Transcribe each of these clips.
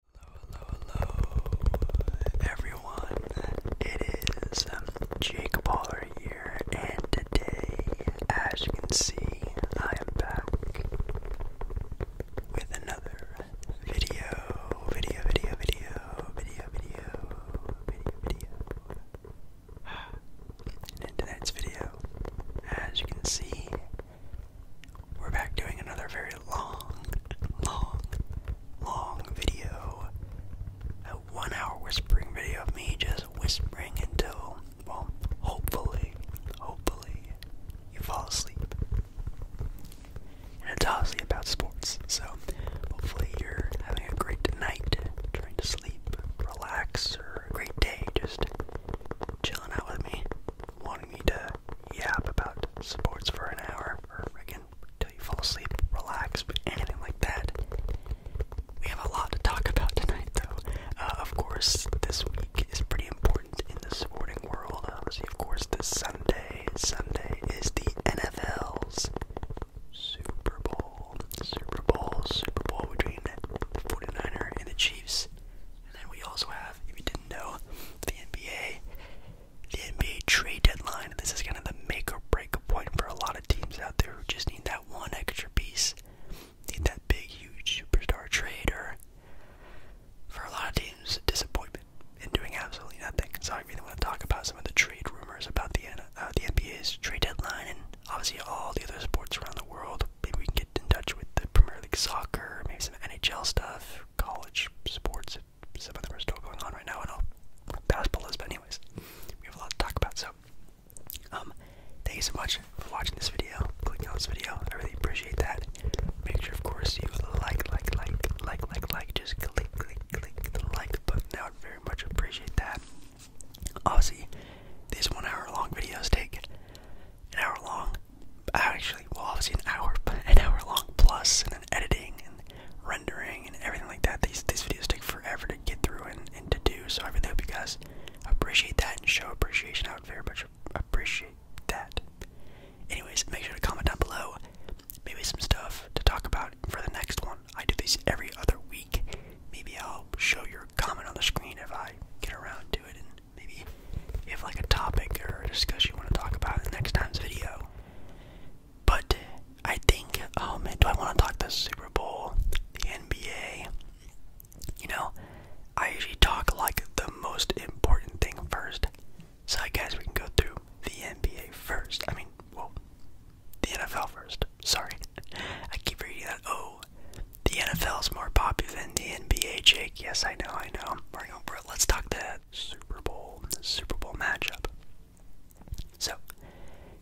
Hello, hello, hello, everyone. It is um, Jake Baller here, and today, as you can see, I am back with another video, video, video, video, video, video, video, video. And in tonight's video, as you can see, we're back doing another very long, long, long video. A one hour whispering video of me just whispering until, well, hopefully, hopefully, you fall asleep. And it's obviously about sports, so hopefully you're having a great night, trying to sleep, relax, or a great day, just chilling out with me, wanting me to yeah, about sports for an hour, or again, till you fall asleep, relax, anything like that. We have a lot to talk about tonight, though. Uh, of course, this week is pretty important in the sporting world. Obviously, of course, this Sunday, Sunday is the NFL's Super Bowl, Super Bowl, Super Bowl between the 49er and the Chiefs. And then we also have, if you didn't know, the NBA the NBA trade deadline. This is kind of the make or break point for a lot of teams out there who just need that one extra piece. Need that big, huge superstar trade, or for a lot of teams, disappointment in doing absolutely nothing. So I really want to talk about some of the trade rumors about the uh, the NBA's trade deadline, and obviously all the other sports around the world. Maybe we can get in touch with the Premier League soccer, maybe some NHL stuff, college sports, some of them are still going on right now and I'll pass the list, but anyways, we have a lot to talk about, so, um, thank you so much for watching this video, clicking on this video, I really appreciate that, make sure, of course, you like, like, like, like, like, like, just click, click, click the like button, Now, I would very much appreciate that, obviously, these one hour long videos take an hour long, actually, well, obviously an hour, an hour long plus, and then editing and rendering and everything like that. These these videos take forever to get through and, and to do. So I really hope you guys appreciate that and show appreciation. I would very much appreciate that. Anyways, make sure to comment down below. Maybe some stuff to talk about for the next one. I do these every other week. Maybe I'll show your comment on the screen if I get around to it, and maybe if like a topic or a discussion you want to talk about next time's video. But I think, oh man, do I want to talk the Super Bowl, the NBA? You know, I usually talk like the most important thing first. So I guess we can go through the NBA first. I mean, well, the NFL first. Sorry. I keep reading that. Oh, the NFL is more popular than the NBA, Jake. Yes, I know, I know. We're let's talk that. Super Bowl Super Bowl matchup. So,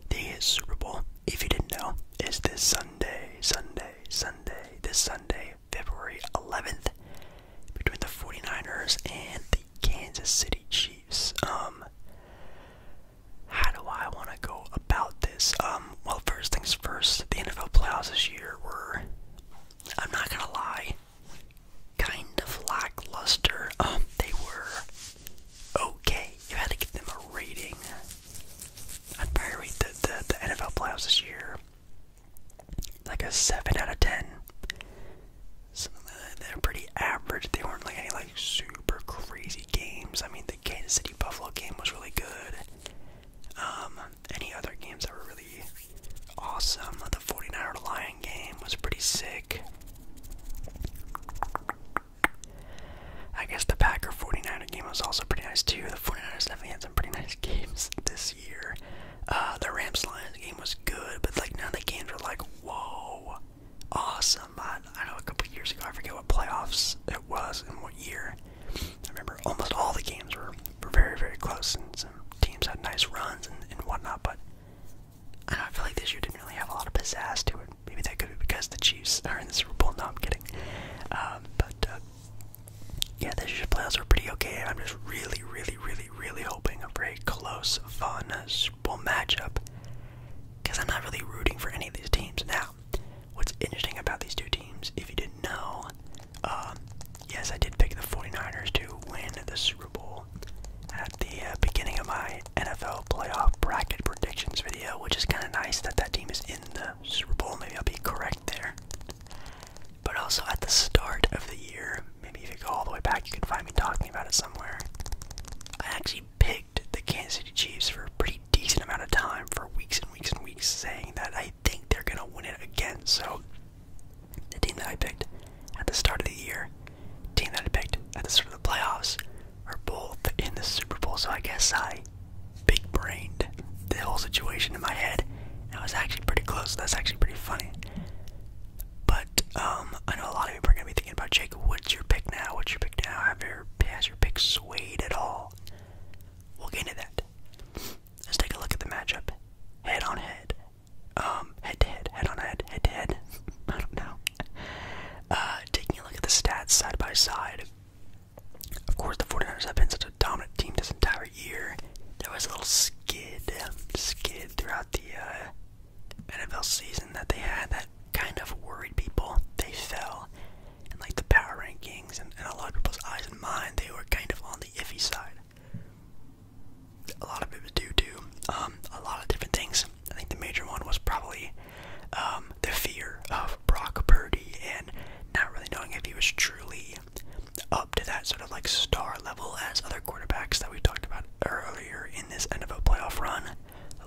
the Super Bowl, if you didn't know, is this Sunday, Sunday, Sunday, this Sunday, February 11th, between the 49ers and the Kansas City Chiefs. Um, how do I want to go about this? Um, well, first things first, the NFL playoffs this year were, I'm not going to lie, kind of lackluster. Um, they were okay. You had to give them a rating. I'd probably rate the, the, NFL playoffs this year like a 7 out of 10. Something They're pretty average. They weren't like any like super crazy games. I mean, the Kansas City Buffalo game was really good. Um, any other games that were really awesome. The 49er Lion game was pretty sick. I guess the Packer 49er game was also pretty nice too. The 49ers definitely had some pretty nice games this year. Uh, the Rams Lions game was good, but like none of the games were like, whoa, awesome. I, I know a couple years ago, I forget what playoffs it was and what year. I remember almost all the games were, were very, very close some teams had nice runs and, and whatnot, but I, don't know, I feel like this year didn't really have a lot of pizzazz to it. Maybe that could be because the Chiefs are in the Super Bowl. No, I'm kidding. Um, but uh, yeah, this year's playoffs were pretty okay. I'm just really, really, really, really hoping for a close, fun Super Bowl matchup because I'm not really rooting for any of these teams. Now, what's interesting about these two teams, if you didn't know, um, yes, I did pick the 49ers to win the Super Bowl at the uh, beginning of my NFL playoff bracket predictions video, which is kind of nice that that team is in the Super Bowl. Maybe I'll be correct there. But also at the start of the year, maybe if you go all the way back, you can find me talking about it somewhere. I actually picked the Kansas City Chiefs for a pretty decent amount of time for weeks and weeks and weeks, saying that I think they're going to win it again. So the team that I picked at the start of the year, team that I picked at the start of the playoffs, are both in the Super Bowl. So I guess I big brained the whole situation in my head. And I was actually pretty close. That's actually pretty funny. But um, I know a lot of people are gonna be thinking about Jake. What's your pick now? What's your pick now? Have your has your pick swayed at all? We'll get into that. Let's take a look at the matchup head on head. Um, head to head, head on head, head to head. I don't know. Uh, taking a look at the stats side by side, of course, the 49ers have been such a dominant team this entire year. There was a little skid, skid throughout the uh, NFL season that they had that kind of worried people. They fell, and like the power rankings and, and a lot of people's eyes and mind, they were kind of on the iffy side a lot of people do do um, a lot of different things. I think the major one was probably um, the fear of Brock Purdy and not really knowing if he was truly up to that sort of like star level as other quarterbacks that we talked about earlier in this end of a playoff run.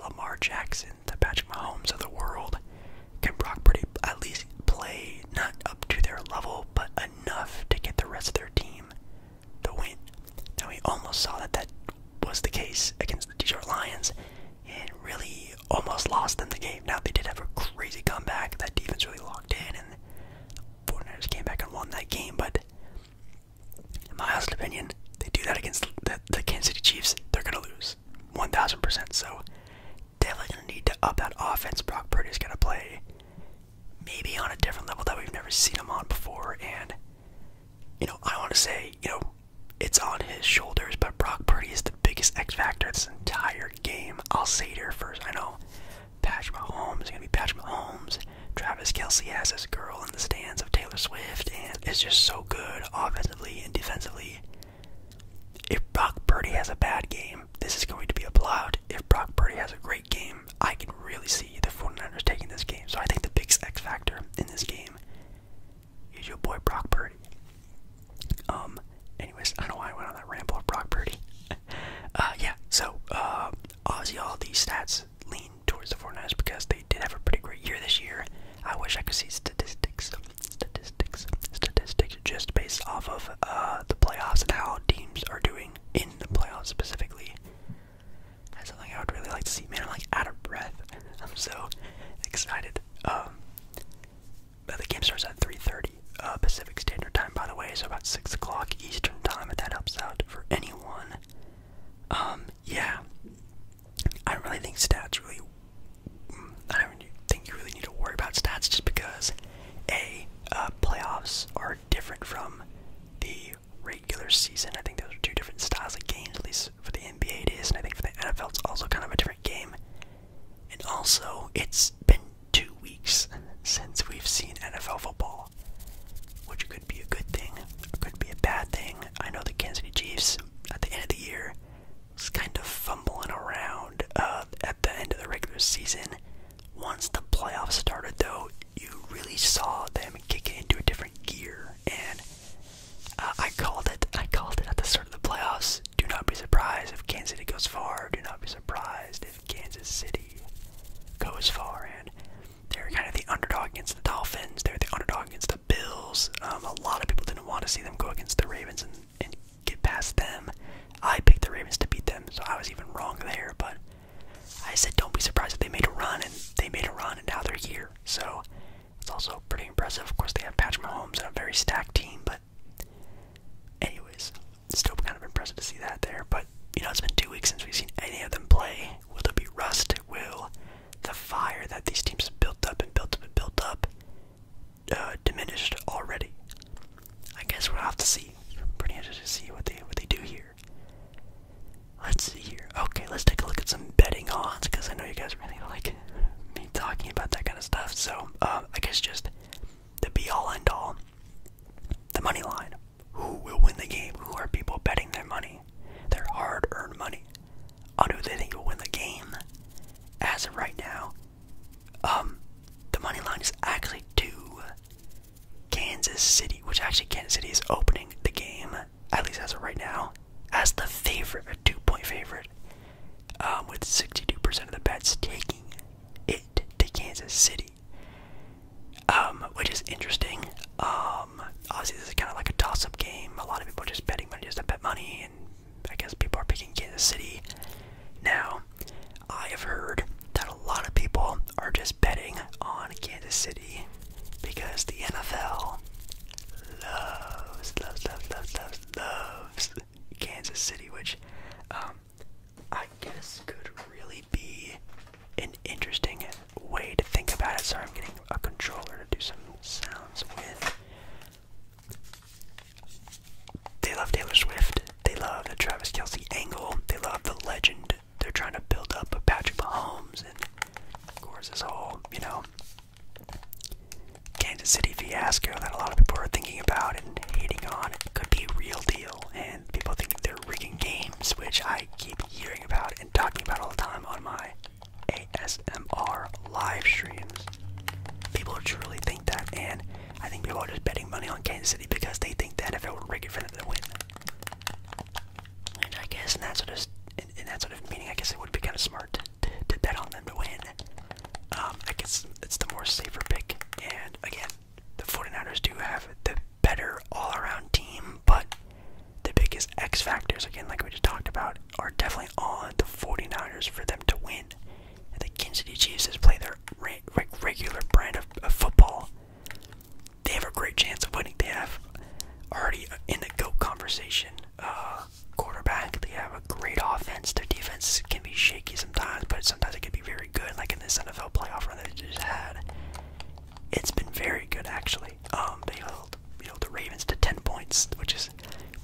Lamar Jackson, the Patrick Mahomes of the world. Can Brock Purdy at least play not up to their level, but enough to get the rest of their team the win. Now we almost saw that that was the case against the Detroit Lions, and really almost lost them the game. Now they did have a crazy comeback. That defense really locked in, and the 49ers came back and won that game. But in my honest opinion, they do that against the, the Kansas City Chiefs, they're gonna lose, 1,000%. So they're gonna need to up that offense. Brock Purdy's gonna play maybe on a different level that we've never seen him on before. And, you know, I want to say, you know, it's on his shoulders, but Brock Purdy is the biggest X factor this entire game. I'll say it here first. I know Patrick Mahomes is going to be Patrick Mahomes. Travis Kelsey has his girl in the stands of Taylor Swift, and it's just so good offensively and defensively. If Brock Purdy has a bad game, this is going to be a blowout. If Brock Purdy has a great game, I can really see the 49ers taking this game. So I think the biggest X factor in this game is your boy Brock Purdy. Um, anyways, I don't know why I went on that ramble of Brock Purdy. uh, yeah, so uh, obviously all these stats lean towards the 49ers because they did have a pretty great year this year. I wish I could see statistics, statistics, statistics just based off of uh, the playoffs and how teams are doing in the playoffs specifically. That's something I would really like to see. Man, I'm like out of breath. I'm so excited. Um, the game starts at 3:30 uh, Pacific Standard Time, by the way, so about six o'clock Eastern Time. If that helps out for anyone. Um, yeah, I don't really think stats really. Mm, I don't think you really need to worry about stats just because a uh, playoffs are are different from the regular season. I think those are two different styles of games, at least for the NBA it is, and I think for the NFL it's also kind of a different game. And also, it's been two weeks since we've seen NFL football, which could be a good thing, or could be a bad thing. I know the Kansas City Chiefs at the end of the year was kind of fumbling around uh, at the end of the regular season. Once the playoffs started, though, you really saw them kick into a different gear, and uh, I called it. I called it at the start of the playoffs. Do not be surprised if Kansas City goes far. Do not be surprised if Kansas City goes far. And they're kind of the underdog against the Dolphins. They're the underdog against the Bills. Um, a lot of people didn't want to see them go against the Ravens and get past them. I picked the Ravens to beat them, so I was even wrong there. But I said don't be surprised if they made a run, and they made a run, and now they're here. So it's also pretty impressive. Of course, they have Patrick Mahomes and a very stacked team, but anyways, still kind of impressive to see that there. But you know, it's been two weeks since we've seen any of them play. Will there be rust? Will the fire that these teams have built up and built up and built up uh, diminished already? I guess we'll have to see. Pretty interested to see what they what they do here. Let's see here. Okay, let's take a look at some betting odds because I know you guys really like me talking about that kind of stuff. So, um, I guess just the be all end all, the money line. Who will win the game? Who are people betting their money, their hard earned money, on who they think will win the game? As of right now, um, the money line is actually two Kansas City, which actually Kansas City is opening the game, at least as of right now, as the favorite, a two-point favorite, um, with 62% of the bets taking it to Kansas City, um, which is interesting. Um, obviously, this is kind of like a toss-up game. A lot of people are just betting money just to bet money, and I guess people are picking Kansas City now. I have heard that a lot of people are just betting on Kansas City because the NFL loves, loves, loves, loves, loves, Kansas City, which um, I guess could really be an interesting way to think about it. Sorry, I'm getting a controller to do some sounds with. They love Taylor Swift. They love the Travis Kelsey angle. They love the legend they're trying to build up a Patrick Mahomes and of course this whole, you know, Kansas City fiasco that a lot of people are thinking about and hating on it could be a real deal and people think they're rigging games, which I keep hearing about and talking about all the time on my ASMR live streams. People truly think that and I think people are just betting money on Kansas City because they think that if would were rigged, for them to win. And I guess in that sort of in, that sort of meaning, I guess it would be kind of smart to, to, bet on them to win. Um, I guess it's the more safer pick. And again, the 49ers do have the better all-around team, but the biggest X factors, again, like we just talked about, are definitely on the 49ers for them to win. And the Kansas City Chiefs is play their regular brand of football they have a great chance of winning. They have already in the GOAT conversation uh, quarterback. They have a great offense. Their defense can be shaky sometimes, but sometimes it can be very good, like in this NFL playoff run that they just had. It's been very good, actually. Um, they held you know, the Ravens to 10 points, which is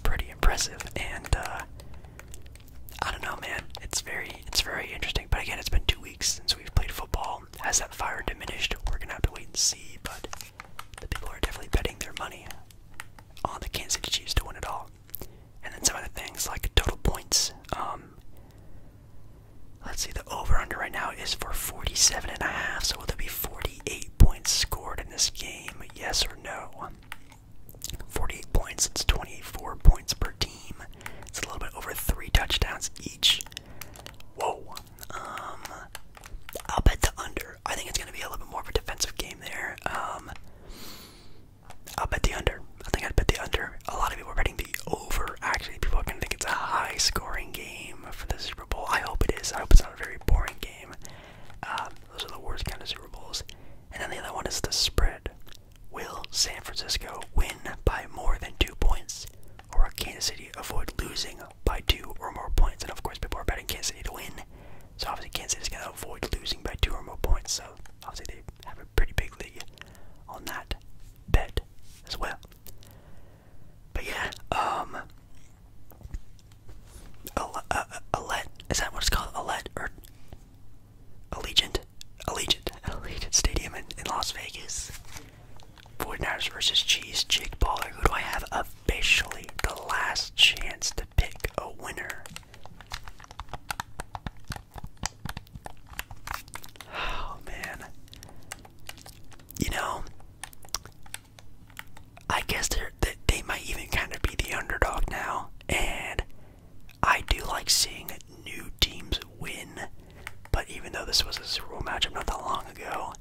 pretty impressive. And uh, I don't know, man. It's very, it's very interesting. But again, it's been two weeks since we've played football. Has that fire diminished? We're gonna have to wait and see. But the people are definitely betting their money on the Kansas City Chiefs to win it all. And then some other things like total points. Um, let's see, the over/under right now is for 47 and a half. So will there be 48 points scored in this game? Yes or no? 48 points. It's 24 points per team. It's a little bit over three touchdowns each. Whoa. Um, I'll bet the under. I think it's going to be a little bit more of a defensive game there. Um, I'll bet the under. I think I'd bet the under. A lot of people are betting the over. Actually, people are going to think it's a high scoring game for the Super Bowl. I hope it is. I hope it's not a very boring game. Um, those are the worst kind of Super Bowls. And then the other one is the spread. Will San Francisco win by more than two points? Or will Kansas City avoid losing by two or more points? And of course, people are betting Kansas City to win. So obviously, Kansas City's going to avoid losing by two or more points. So obviously, they have a pretty big lead on that bet as well. But yeah, um. Alette, is that what it's called? A lead or Allegiant, Allegiant, Allegiant Stadium in, in Las Vegas. 49ers versus Cheese, Jake Baller. Who do I have officially the last chance to pick a winner? Oh man. You know, I guess they're, they they might even kind of be the underdog now, and I do like seeing new teams win, but even though this was a Super Bowl matchup not that long ago,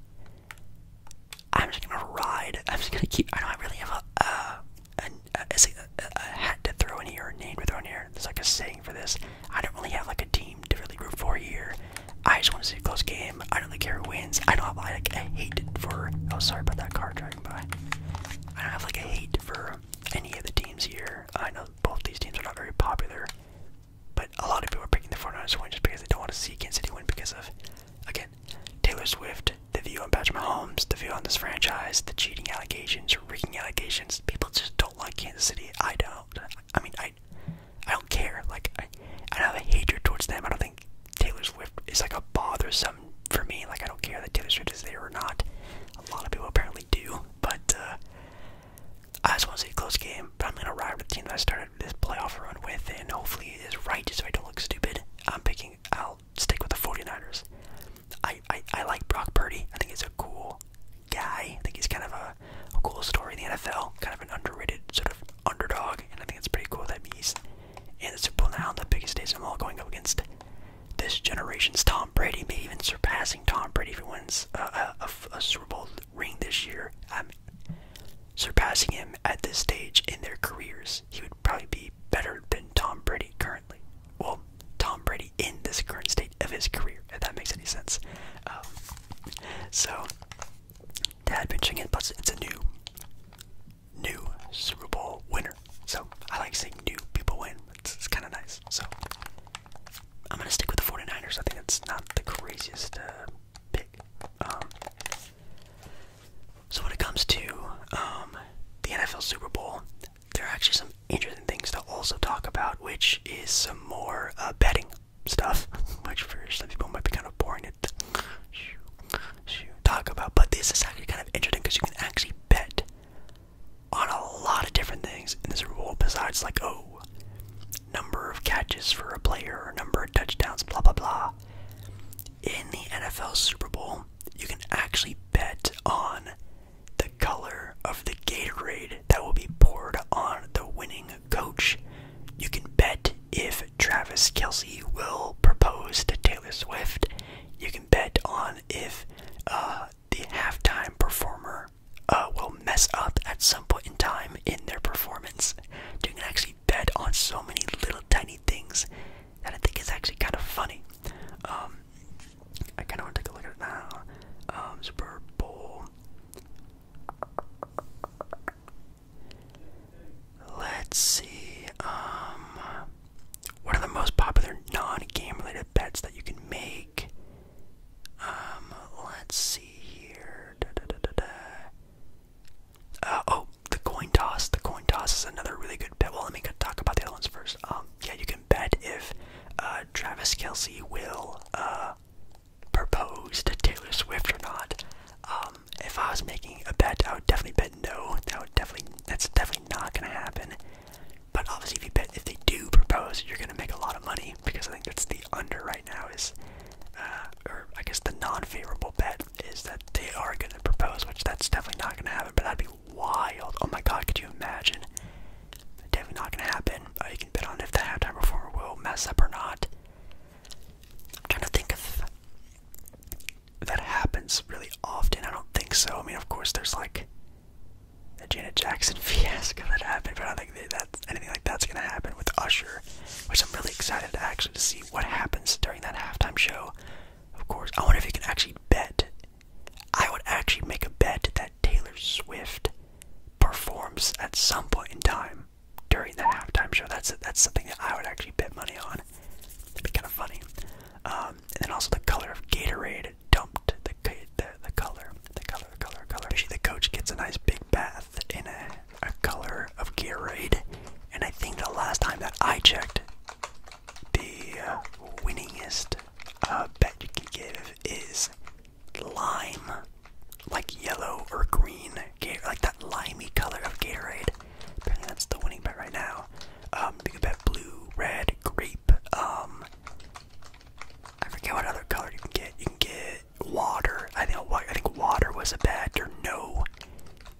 I'm just gonna ride. I'm just gonna keep. I don't really have a uh, a, a, hat to throw in here, name to throw in here. There's like a saying for this. I don't really have like a team to really root for here. I just want to see a close game. I don't really care who wins. I don't have like a hate for. Oh, sorry about that car driving by. I don't have like a hate for any of the teams here. I know both these teams are not very popular. But a lot of people are picking the four ers win just because they don't want to see Kansas City win because of, again, Taylor Swift, the view on Patrick Mahomes, the view on this franchise, the cheating allegations, rigging allegations. People just don't like Kansas City. I don't. I mean, I, I don't care. Like, I, don't have a hatred towards them. I don't think Taylor Swift is like a bothersome for me. Like, I don't care that Taylor Swift is there or not. A lot of people apparently do, but uh, I just want to see a close game, but I'm going to ride with the team that I started this playoff run with, and hopefully it is right just so I don't look stupid. I'm picking, I'll stick with the 49ers. I, I, I like Brock Purdy. I think he's a cool guy. I think he's kind of a, cool story in the NFL, kind of an underrated sort of underdog, and I think it's pretty cool that he's in the Super Bowl now, the biggest days of all, going up against this generation's Tom Brady, maybe even surpassing Tom Brady if he wins a, a Super Bowl ring this year. surpassing him at this stage in their careers. He would probably be better than Tom Brady currently. Well, Tom Brady in this current state of his career, if that makes any sense. Um, so, dad mentioning it, but it's a new, new Super Bowl winner. So I like seeing new people win. it's kind of nice. So I'm gonna stick with the 49ers. I think that's not the craziest uh, pick. Um, so when it comes to um, the NFL Super Bowl, there are actually some interesting things to also talk about, which is some more uh, betting stuff, which for some people might be kind of boring to talk about. But this is actually kind of interesting because you can actually bet on a lot of different things in the Super Bowl besides like oh number of catches for a player number of touchdowns blah blah blah. In the NFL Super Bowl, you can actually bet on the color of the Gatorade that will be poured on the winning coach. You can bet if Travis Kelsey will propose to Taylor Swift. You can bet on if uh, the halftime performer uh, will mess up at some point in time in their performance. You can actually bet on so many little tiny things that I think is actually kind of funny. Um, I kind of want to take a look at it now. Um, Super Bowl. Let's see. Um, what are the most popular non-game related bets that you can make? Um, let's see here. Uh, oh, the coin toss. The coin toss is another really good bet. Well, let me talk about the other ones first. Um, yeah, you can bet if uh, Travis Kelsey will uh, propose to Taylor Swift or not. Um, if I was making a bet, I would definitely bet no. That would definitely that's definitely not gonna happen. But obviously, if they do propose, you're going to make a lot of money because I think that's the under right now is, uh, or I guess the non-favorable bet is that they are going to propose, which that's definitely not going to happen. But that'd be wild. Oh my God, could you imagine? Definitely not going to happen. Uh, you can bet on if the halftime performer will mess up or not. I'm trying to think of that happens really often. I don't think so. I mean, of course, there's like the Janet Jackson fiasco that happened, but I don't think that anything like that's gonna happen with Usher, which I'm really excited to actually to see what happens during that halftime show. Of course, I wonder if you can actually bet. I would actually make a bet that Taylor Swift performs at some point in time during that halftime show. That's that's something that I would actually bet money on. That'd be kind of funny. Um, and then also the color of Gatorade dumped the the, color, the color, color, color. Actually, the coach gets a nice big bath in a, a color of Gatorade, and I think the last time that I checked, the uh, winningest uh, bet you can give is lime, like yellow or green, like that limey color of Gatorade. Apparently, that's the winning bet right now. Um, you blue, red, grape. Um, I forget what other color you can get. You can get water. I think I think water was a bet, or no.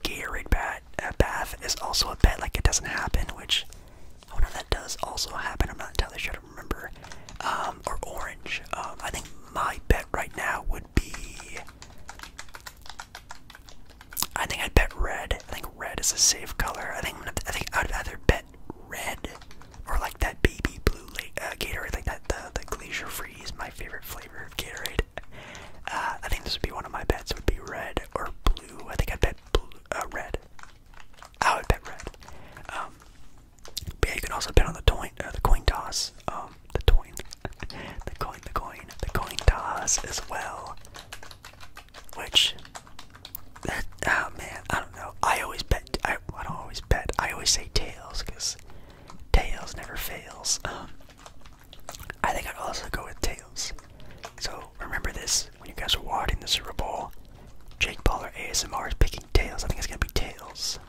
Gatorade bat a uh, bath is also a bet. Like it doesn't happen, which I wonder if that does also happen. I'm not entirely sure. I do remember. Um, or orange. Um, I think my bet right now would be. I think I'd bet red. I think red is a safe color. I think i think I'd either bet red or like that baby blue uh, Gatorade, like that the the Glacier Freeze, my favorite flavor of Gatorade. Uh, I think this would be one of my bets. Would be red or blue. I think I bet blue, uh, red. I would bet red. Um, but yeah, you can also bet on the coin, uh, the coin toss, um, the coin, the coin, the coin, the coin toss as well. Which that, oh man, I don't know. I always bet. I, I don't always bet. I always say tails because tails never fails. Um, I think I'd also go with tails. So remember this when you guys are watching the Super Bowl. Jake Paul or ASMR is picking tails. I think it's gonna be tails.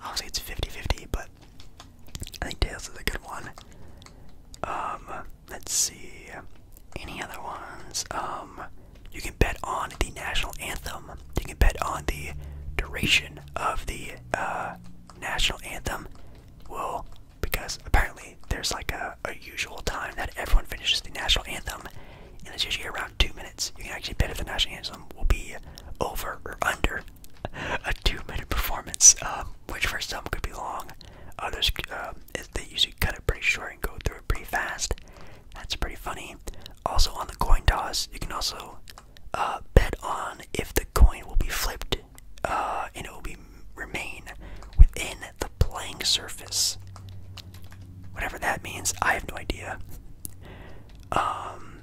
I'll Obviously, it's 50-50, but I think tails is a good one. Um, let's see. Any other ones? Um, you can bet on the national anthem. You can bet on the duration of the uh, national anthem. Well, because apparently there's like a, usual time that everyone finishes the national anthem, and it's usually around two minutes. You can actually bet if the national anthem will be over or under a two-minute performance, um, which for some could be long. Others, um, they usually cut it pretty short and go through it pretty fast. That's pretty funny. Also, on the coin toss, you can also uh, bet on if the coin will be flipped uh, and it will be remain within the playing surface. Whatever that means, I have no idea. Um,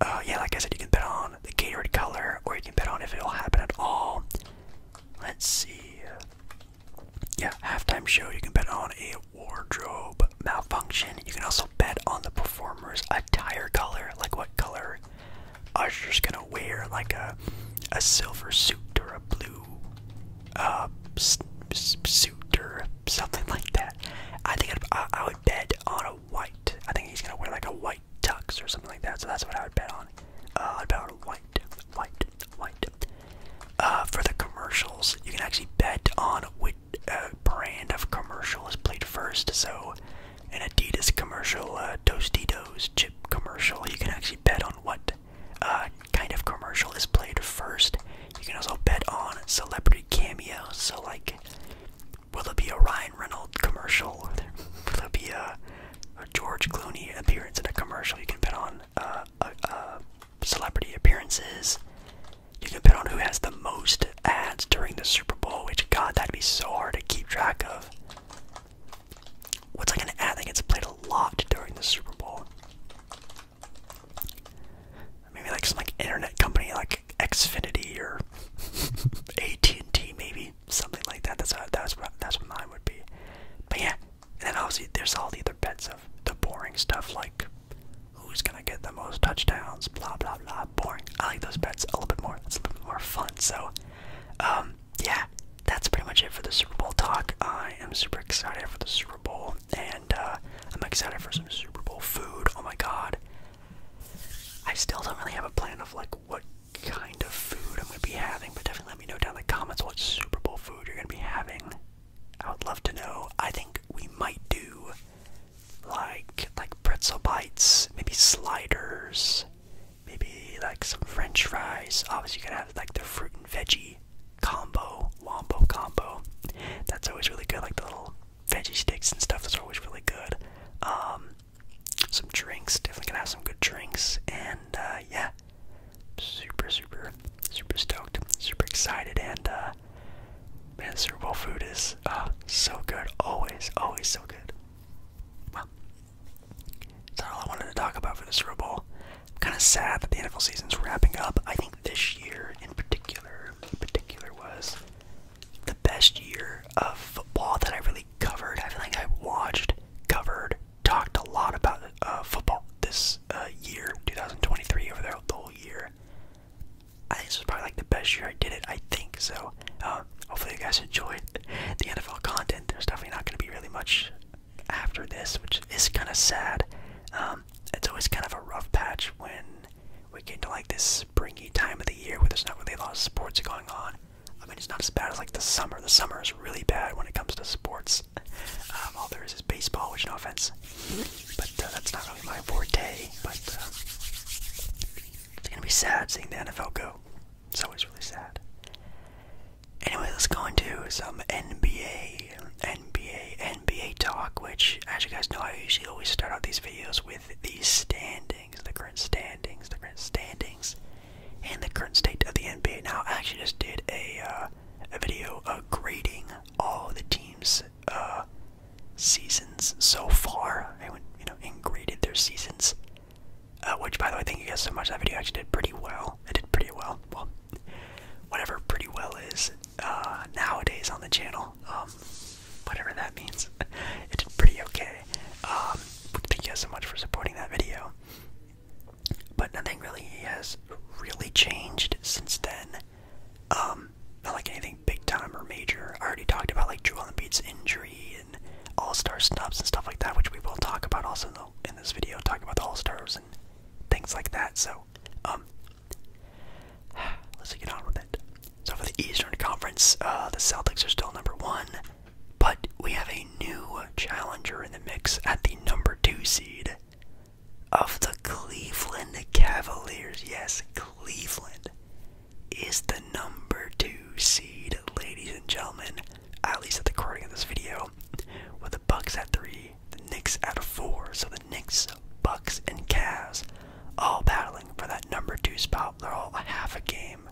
uh, yeah, like I said, you can bet on the catered color, or you can bet on if it'll happen at all. Let's see yeah, halftime show. You can bet on a wardrobe malfunction. You can also bet on the performer's attire color, like what color Usher's gonna wear, like a a silver suit or a blue uh, suit or something like that. I think I'd, bet on a white. I think he's gonna wear like a white tux or something like that. So that's what I would bet on. Uh, I'd bet on white, white white. Uh, for the commercials, you can actually bet on which uh, brand of commercial is played first. So, an Adidas commercial, uh, Tostitos chip commercial, you can actually bet on what uh, kind of commercial is played first. You can also bet on celebrity cameos. So, like, will it be a Ryan Reynolds commercial? Will it be a, George Clooney appearance in a commercial? You can bet on uh, uh, celebrity appearances. You can bet on who has the most ads during the Super Bowl, which, God, that'd be so hard to keep track of. What's like an ad that gets played a lot during the Super Bowl? Maybe like some like internet company like Xfinity or AT&T maybe something like that. That's how, that's what that's what mine would be. But yeah, and then obviously there's all the other bets of the boring stuff like who's gonna get the most touchdowns, blah blah blah. Boring. I like those bets a little bit more. It's a little bit more fun. So, um, yeah, that's pretty much it for the Super Bowl talk. I am super excited for the Super Bowl, and uh, I'm excited for some Super Bowl food. Oh my god. I still don't really have a plan of like what kind of food I'm gonna be having, but definitely let me know down in the comments what Super Bowl food you're gonna be having. I would love to know. I think we might do like like pretzel bites, maybe sliders, maybe like some French fries. Obviously, you can have like the fruit and veggie combo, wombo combo. That's always really good. Like the little veggie sticks and stuff. That's always really good. Um, some drinks. Definitely gonna have some good drinks. And uh, yeah, super, super, super stoked, super excited, and uh, man, Super Bowl food is uh, so good, always, always so good. Well, that's all I wanted to talk about for the Super Bowl. I'm kind of sad that the NFL season's wrapping up. I think this year in particular, in particular was the best year of football that I really covered. I feel like I watched, covered, talked a lot about uh, football this uh, year, 2023, over there the whole year. I think this was probably like the best year I did it. I think so. Um, hopefully, you guys enjoyed the NFL content. There's definitely not going to be really much after this, which is kind of sad. Um, it's always kind of a rough patch when we get into like this springy time of the year where there's not really a lot of sports going on. I mean, it's not as bad as like the summer. The summer is really bad when it comes to sports. Uh, um, all there is is baseball, which no offense, but uh, that's not really my forte. But uh, it's gonna be sad seeing the NFL go. It's always really sad. Anyway, let's go into some NBA, NBA, NBA talk. Which, as you guys know, I usually always start out these videos with the standings, the current standings, the current standings, and the current state of the NBA. Now, I actually just did a. Uh, a video uh, grading all the teams' uh, seasons so far. I went, you know, and graded their seasons. Uh, which, by the way, thank you guys so much. That video actually did pretty well. It did pretty well. Well, whatever pretty well is uh, nowadays on the channel, um, whatever that means. it did pretty okay. Um, thank you guys so much for supporting that video. But nothing really has really changed since then. Um, not like anything big time or major. I already talked about like Joel Embiid's injury and all-star snubs and stuff like that, which we will talk about also in, this video, talking about the all-stars and things like that. So, um, let's get on with it. So for the Eastern Conference, uh, the Celtics are still number one, but we have a new challenger in the mix at the number two seed of the Cleveland Cavaliers. Yes, Cleveland is the number two seed, ladies and gentlemen, at least at the recording of this video, with the Bucks at three, the Knicks at four. So the Knicks, Bucks, and Cavs all battling for that number two spot. They're all half a game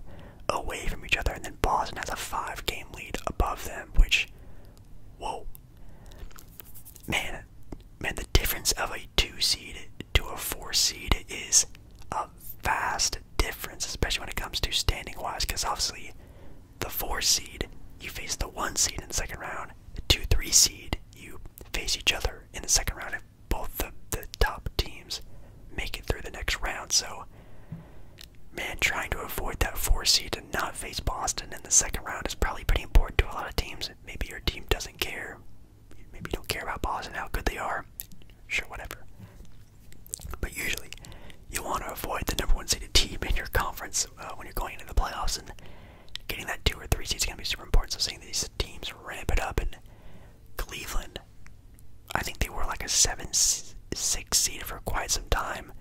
away from each other, and then Boston has a five game lead above them, which, whoa, Man, man, the difference of a two seed to a four seed is a vast difference, especially when it comes to standing wise, because obviously the four seed, you face the one seed in the second round. The two three seed, you face each other in the second round if both the, top teams make it through the next round. So man, trying to avoid that four seed and not face Boston in the second round is probably pretty important to a lot of teams. Maybe your team doesn't care. Maybe you don't care about Boston, how good they are. Sure, whatever. But usually, you want to avoid the number one seeded team in your conference uh, when you're going into the playoffs, and getting that two or three seed is going to be super important. So seeing these teams ramp it up, and Cleveland, I think they were like a seven, six seed for quite some time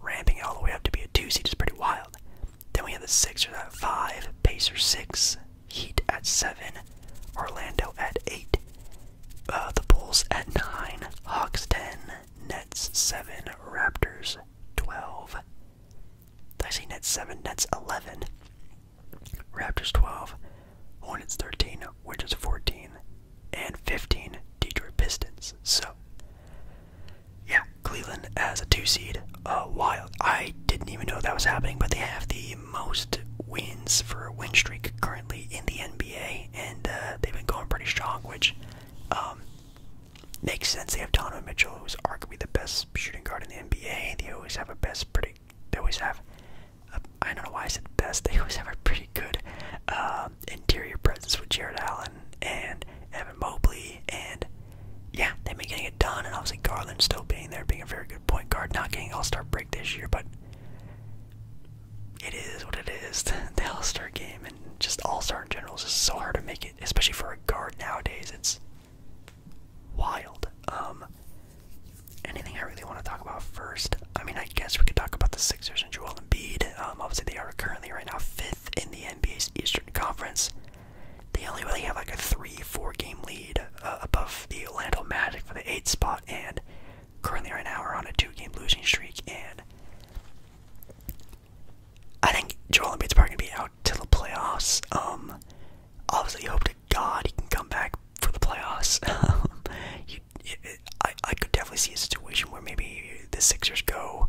ramping it all the way up to be a two seed is pretty wild. Then we have the Sixers at five, Pacers six, Heat at seven, Orlando at eight, uh, the Bulls at nine, Hawks ten, Nets seven, Raptors twelve. Did I say Nets seven? Nets eleven. Raptors 12, Hornets 13, Wizards 14, and 15, Detroit Pistons. So, yeah, Cleveland as a two seed. Uh, wild. I didn't even know that was happening, but they have the most wins for a win streak currently in the NBA, and uh, they've been going pretty strong, which um, makes sense. They have Donovan Mitchell, who's arguably the best shooting guard in the NBA. They always have a best pretty. They always have. A, uh, I don't know why I said best. They always have a pretty good interior presence with Jared Allen and and Evan Mobley, and yeah, they've been getting it done. And obviously Garland still being there, being a very good point guard, not getting All-Star break this year, but it is what it is. the All-Star game and just All-Star in general is just so hard to make it, especially for a guard nowadays. It's wild. Um, anything I really want to talk about first? I mean, I guess we could talk about the Sixers and Joel Embiid. Um, obviously they are currently right now fifth in the NBA's Eastern Conference. They only really have like a three, four game lead uh, above the Orlando Magic for the eighth spot, and currently right now we are on a two-game losing streak. And I think Joel Embiid's probably gonna be out till the playoffs. Um, obviously, hope to God he can come back for the playoffs. Um, I, I could definitely see a situation where maybe the Sixers go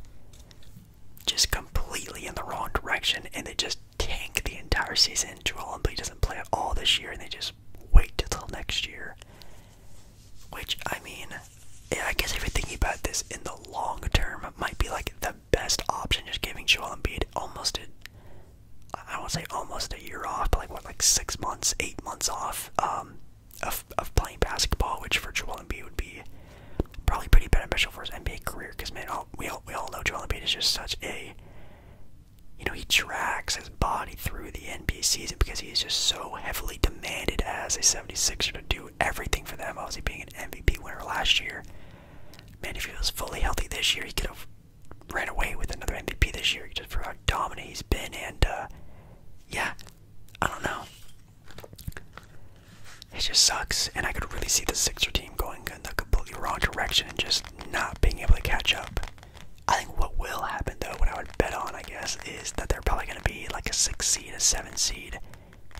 just completely in the wrong direction and they just tank the entire season. Joel Embiid doesn't play at all this year and they just wait until next year. Which, I mean, yeah, I guess if you're thinking about this in the long term, might be like the best option, just giving Joel Embiid almost a I won't say almost a year off, but like what, like six months, eight months off, um, of of playing basketball, which for Joel Embiid would be probably pretty beneficial for his NBA career. Because man, we all we all know Joel Embiid is just such a you know he tracks his body through the NBA season because he is just so heavily demanded as a 76er to do everything for them. Obviously, being an MVP winner last year, man, if he was fully healthy this year, he could have ran away with another MVP this year just for how dominant he's been. And uh, yeah, I don't know. It just sucks, and I could really see the Sixer team going in the completely wrong direction and just not being able to catch up. I think what will happen though, what I would bet on, I guess, is that they're probably going to be like a six seed, a seven seed,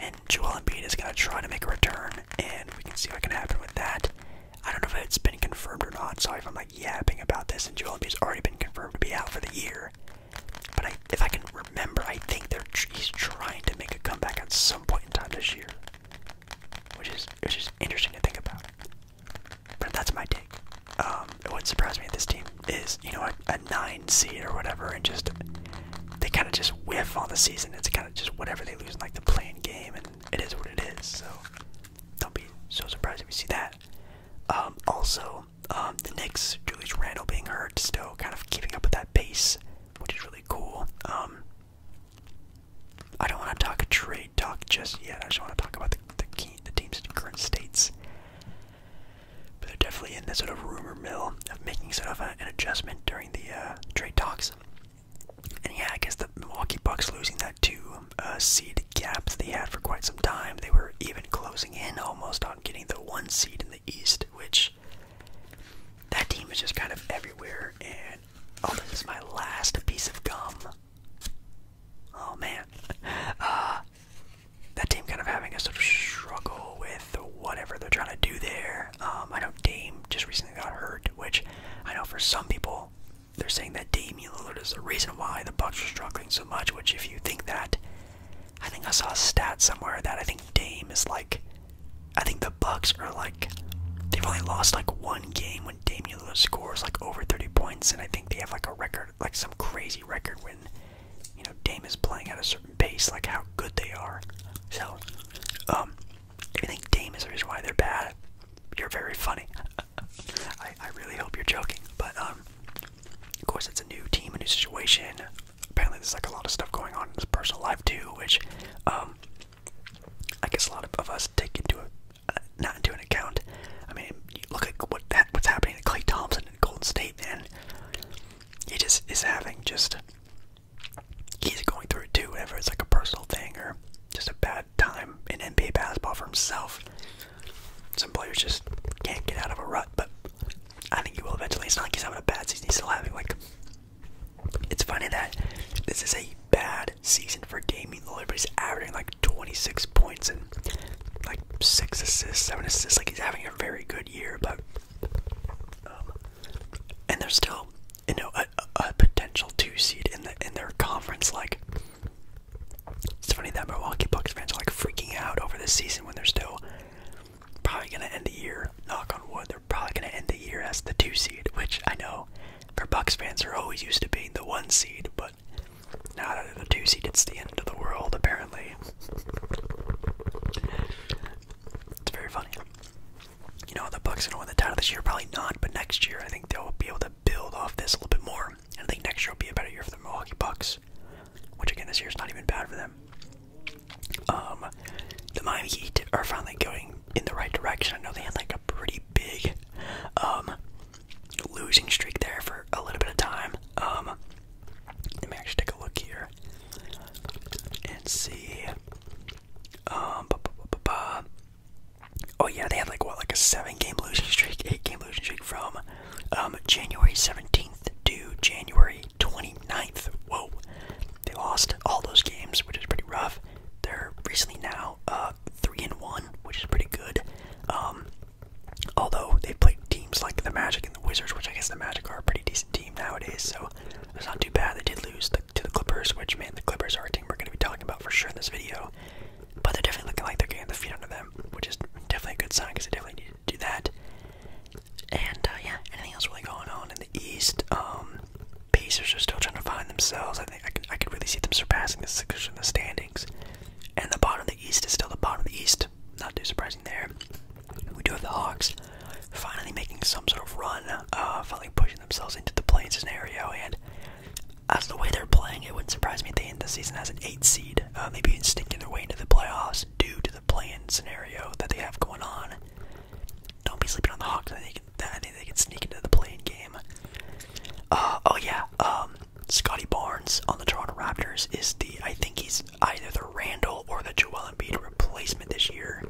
and Joel Embiid is going to try to make a return, and we can see what can happen with that. I don't know if it's been confirmed or not. Sorry if I'm like yapping about this, and Joel Embiid's already been confirmed to be out for the year. But I, if I can remember, I think they're he's trying to make a comeback at some point in time this year, which is which is interesting to think about. But that's my take. Um, it wouldn't surprise me if this team is, you know, a, nine seed or whatever, and just they kind of just whiff on the season. It's kind of just whatever they lose like the playing game, and it is what it is. So don't be so surprised if we see that. Um, also, um, the Knicks, Julius Randle being hurt, still kind of keeping up with that pace, which is really cool. Um, I don't want to talk trade talk just yet. I just want to talk about the the, key, the team's current states. But they're definitely in this sort of rumor mill of making sort of an adjustment during the uh, trade talks. And yeah, I guess the Milwaukee Bucks losing that two uh, seed gap that they had for quite some time. They were even closing in almost on getting the one seed in East, which that team is just kind of everywhere. And oh, this is my last piece of gum. Oh man, uh, that team kind of having a sort of struggle with whatever they're trying to do there. Um, I know Dame just recently got hurt, which I know for some people they're saying that Damian Lillard is the reason why the Bucks are struggling so much. Which, if you think that, I think I saw a stat somewhere that I think Dame is like I think the Bucks are like they've only lost like one game when Damian Lillard scores like over 30 points, and I think they have like a record, like some crazy record when you know Dame is playing at a certain pace, like how good they are. So, um, if think Dame is the reason why they're bad, you're very funny. I I really hope you're joking, but um, of course it's a new team, a new situation, apparently there's like a lot of stuff going on in his personal life too, which um, I guess a lot of, of us take into a, uh, not into an account. I mean, look at what that what's happening to Clay Thompson in Golden State, man. He just is having just he's going through it too. Whenever it's like a personal thing or just a bad time in NBA basketball for himself, some players just can't get out of a rut. But I think he will eventually. It's not like he's having a bad season. He's still having like. It's funny that this is a bad season for Damian Lillard, but he's averaging like 26 points and like six assists, seven assists. Like he's having a very good year, but um, and there's still you know a, a potential two seed in the in their conference. Like it's funny that Milwaukee Bucks fans are like freaking out over this season when they're still probably gonna end the year. Knock on wood, they're probably gonna end the year as the two seed, which I know for Bucks fans are always used to being the one seed, but now that they're the two seed, it's the end of the world apparently. It's very funny. You know the Bucks gonna win the title this year, probably not, but next year I think they'll be able to build off this a little bit more. And I think next year will be a better year for the Milwaukee Bucks which again this year is not even bad for them. Um, the Miami Heat are finally going in the right direction. I know they had like a pretty big um, losing streak there for a little bit of time. Um, let me actually take a look here and see. oh yeah, they had like what, like a seven-game losing streak, eight-game losing streak from um, January 17th to January 29th. Whoa, they lost all those games, which is pretty rough. They're recently now uh, 3 and 1, which is pretty good. Um, although they played teams like the Magic and the Wizards, which I guess the Magic are a pretty decent team nowadays, so it's not too bad. They did lose to the Clippers, which, man, the Clippers are a team we're going to be talking about for sure in this video. But they're definitely looking like they're getting the feet under them, which is definitely a good sign because they definitely need do that. And uh, yeah, anything else really going on in the East? Um, Pacers are still trying to find themselves. I think I could, I could really see them surpassing the Sixers in the standings. And the bottom of the East is still the bottom of the East. Not too surprising there. We do have the Hawks finally making some sort of run, uh, finally pushing themselves into the play scenario. And as the way they're playing, it wouldn't surprise me if they end the season as an eight seed, uh, maybe even stinking their way into the playoffs due to the playing scenario that they have going on. Don't be sleeping on the Hawks. I think they can sneak into the playing game. Uh, oh yeah, um, Scotty Barnes on the Toronto Raptors is the I think he's either the Randall or the Joel Embiid replacement this year.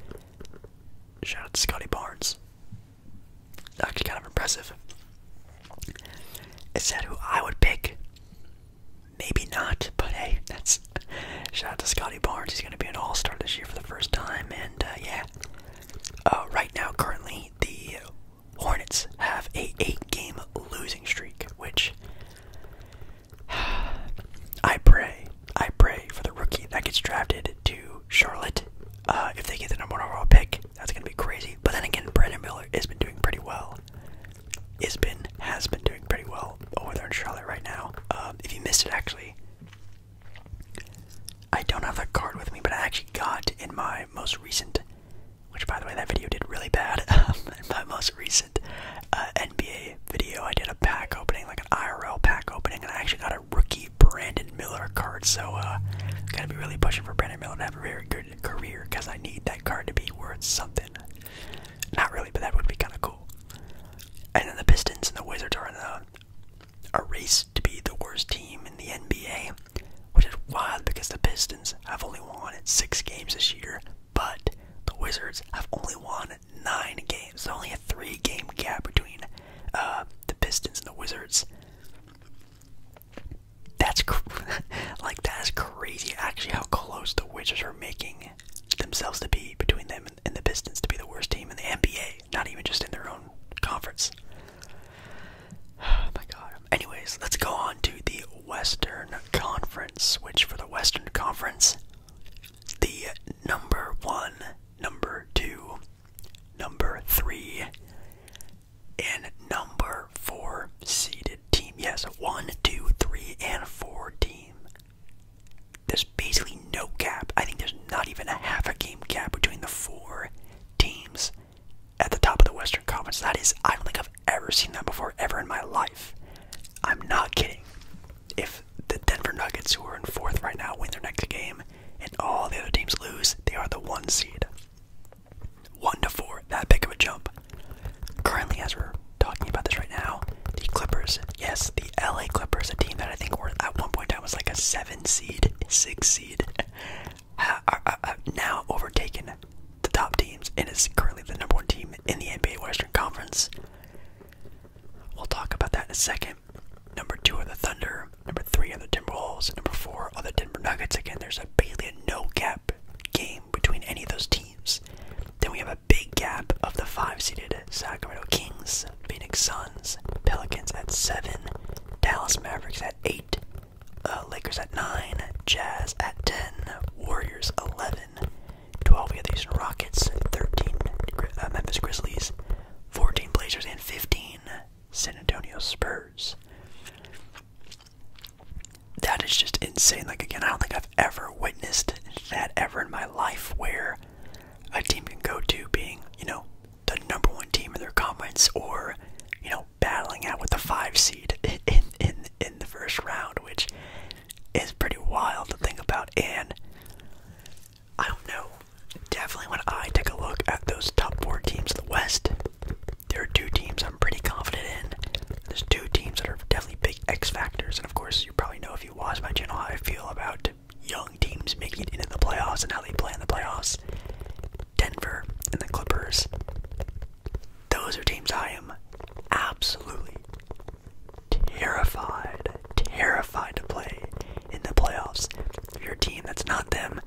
Shout out to Scotty Barnes. Actually, kind of impressive. It said who I would pick maybe not, but hey, that's shout out to Scotty Barnes. He's going to be an all star this year for the first time. And uh, yeah, uh, right now, currently, the Hornets have a eight game losing streak, which I pray, I pray for the rookie that gets drafted to Charlotte. Uh, if they get the number one overall pick, that's going to be crazy. But then again, Brandon Miller has been doing pretty well has been doing pretty well over there in Charlotte right now. Um, if you missed it, actually, I don't have that card with me, but I actually got in my most recent, which by the way, that video did really bad. Um, in my most recent uh, NBA video, I did a pack opening, like an IRL pack opening, and I actually got a rookie Brandon Miller card. So, uh, gotta be really pushing for Brandon Miller to have a very good career because I need that card to be worth something. Not really, but that would be kind of cool. And then the Pistons and the Wizards are in a, race to be the worst team in the NBA, which is wild because the Pistons have only won six games this year, but the Wizards have only won nine games. There's only a three-game gap between uh, the Pistons and the Wizards. That's like that is crazy. Actually, how close the Wizards are making themselves to be between them and the Pistons to be the worst team in the NBA, not even just in their own conference. Oh my god. Anyways, let's go on to the Western Conference, which for the Western Conference, the number one, number two, number three, and number four seeded team. Yes, one, two, three, and four team there's basically no gap. I think there's not even a half a game gap between the four teams at the top of the Western Conference. That is, I don't think I've ever seen that before, ever in my life. I'm not kidding. If the Denver Nuggets, who are in fourth right now, win their next game and all the other teams lose, they are the one seed. One to four, that big of a jump. Currently, as we're talking about this right now, the Clippers, yes, the LA Clippers, a team that I think were at one point I was like a seven seed, six seed, are, now overtaken the top teams and is currently the number one team in the NBA Western Conference. We'll talk about that in a second. Number two are the Thunder. Number three are the Timberwolves. Number four are the Denver Nuggets. Again, there's a basically a no cap game between any of those teams. Then we have a big gap of the five seeded Sacramento Kings, Phoenix Suns, Pelicans at seven, Dallas Mavericks at eight, uh, Lakers at nine, Jazz at ten, Warriors eleven, twelve we have the Houston Rockets, thirteen uh, Memphis Grizzlies, fourteen Blazers, and fifteen San Antonio Spurs that is just insane. Like again, I don't think I've ever witnessed that ever in my life where a team can go to being, you know, the number one team in their conference or, you know, battling out with the five seed in in in the first round, which is pretty wild to think about. And I don't know. Definitely when I take a look at those top four teams in the West, there are two teams I'm pretty confident in. There's two teams that are definitely X factors, and of course, you probably know if you watch my channel how I feel about young teams making it into the playoffs and how they play in the playoffs. Denver and the Clippers. Those are teams I am absolutely terrified, terrified to play in the playoffs. If you team that's not them,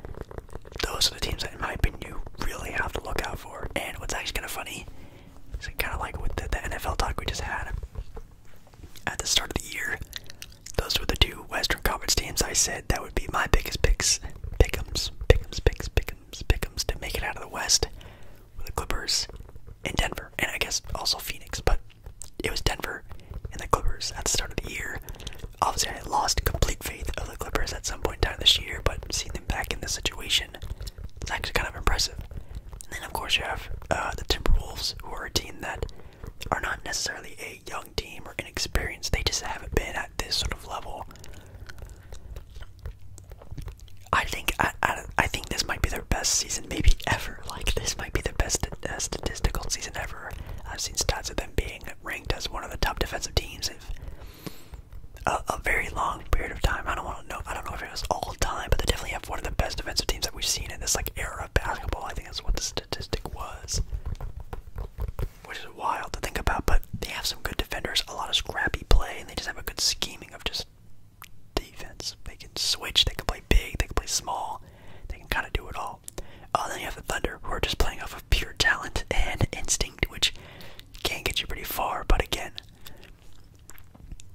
those are the teams that, in my opinion, you really have to look out for. And what's actually kind of funny so kind of like with the, NFL talk we just had at the start of the year, those were the two Western Conference teams I said that would be my biggest picks, pickums, pickums, picks, pickums, pickums to make it out of the West with the Clippers and Denver, and I guess also Phoenix, but it was Denver and the Clippers at the start of the year. Obviously, I lost complete faith of the Clippers at some point in time this year, but seeing them back in this situation division. It's actually kind of impressive. And then, of course, you have uh, the Timberwolves, who are a team that are not necessarily a young team or inexperienced. They just haven't been at this sort of level. I think I, think this might be their best season maybe ever. Like this might be the best uh, statistical season ever. I've seen stats of them being ranked as one of the top defensive teams in a, a very long period of time. I don't want to know. I don't know if if it all time, but they definitely have one of the best defensive teams that we've seen in this like era of basketball. I think that's what the statistic was, which is wild to think about. But they have some good defenders, a lot of scrappy play, and they just have a good scheming of just defense. They can switch, they can play big, they can play small, they can kind of do it all. Uh, then you have the Thunder, who are just playing off of pure talent and instinct, which can get you pretty far. But again,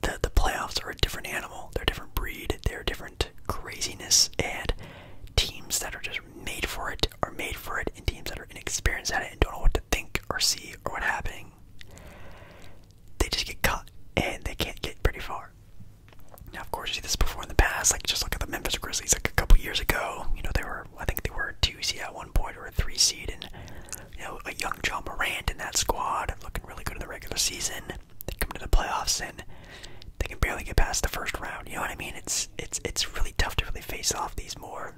the the playoffs are a different animal. They're a different breed. They're a different craziness. And teams that are just made for it are made for it, and teams that are inexperienced at it and don't know what to think or see or what's happening, they just get caught and they can't get pretty far. Now, of course, you see this before in the past. Like just look at the Memphis Grizzlies, like a couple years ago. You know, they were I think they were a two seed at one point or a three seed, and you know, a young John Morant in that squad, looking really good in the regular season. They come to the playoffs and they can barely get past the first round. You know what I mean? It's it's it's really tough to really face off these more,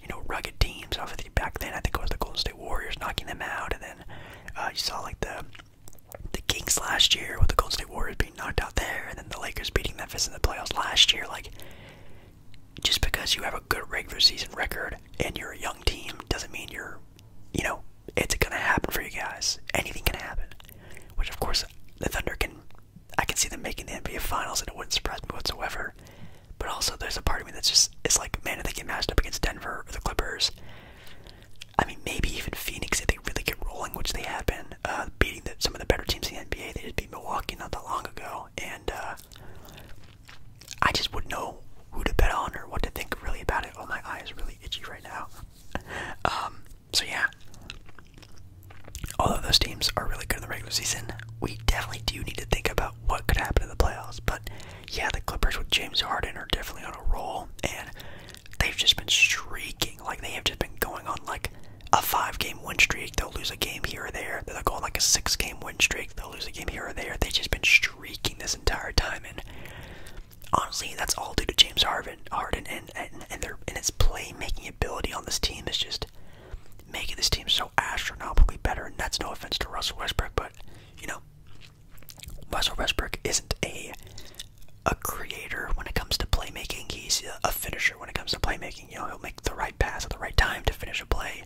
you know, rugged teams. Obviously, back then I think it was the Golden State Warriors knocking them out, and then uh, you saw like the the Kings last year with the Golden State Warriors being knocked out there, and then the Lakers beating Memphis in the playoffs last year. Like, just because you have a good regular season record and you're a young team doesn't mean you're you know, it's gonna happen for you guys. Anything can happen. Which of course the Thunder can I can see them making the NBA finals and it wouldn't surprise me whatsoever. But also there's a part of me that's just it's like, man, if they get matched up against Denver or the Clippers. I mean maybe even Phoenix if they really get rolling, which they have been, uh, beating some of the better teams in the NBA. They did beat Milwaukee not that long ago and uh I just would not know who to bet on or what to think really about it. Oh, my eye is really itchy right now. Um, so yeah, although those teams are really good in the regular season, we definitely do need to think about what could happen in the playoffs. But yeah, the Clippers with James Harden are definitely on a roll, and they've just been streaking. Like they have just been going on like a five-game win streak. They'll lose a game here or there. they are going like a six-game win streak. They'll lose a game here or there. They've just been streaking shrieking this entire time. And honestly, that's all due to James Harden, Harden, and and and their and his playmaking ability on this team is just making this team so astronomically better. And that's no offense to Russell Westbrook, but you know, Russell Westbrook isn't a a creator when it comes to playmaking. He's a finisher when it comes to playmaking. You know, he'll make the right pass at the right time to finish a play.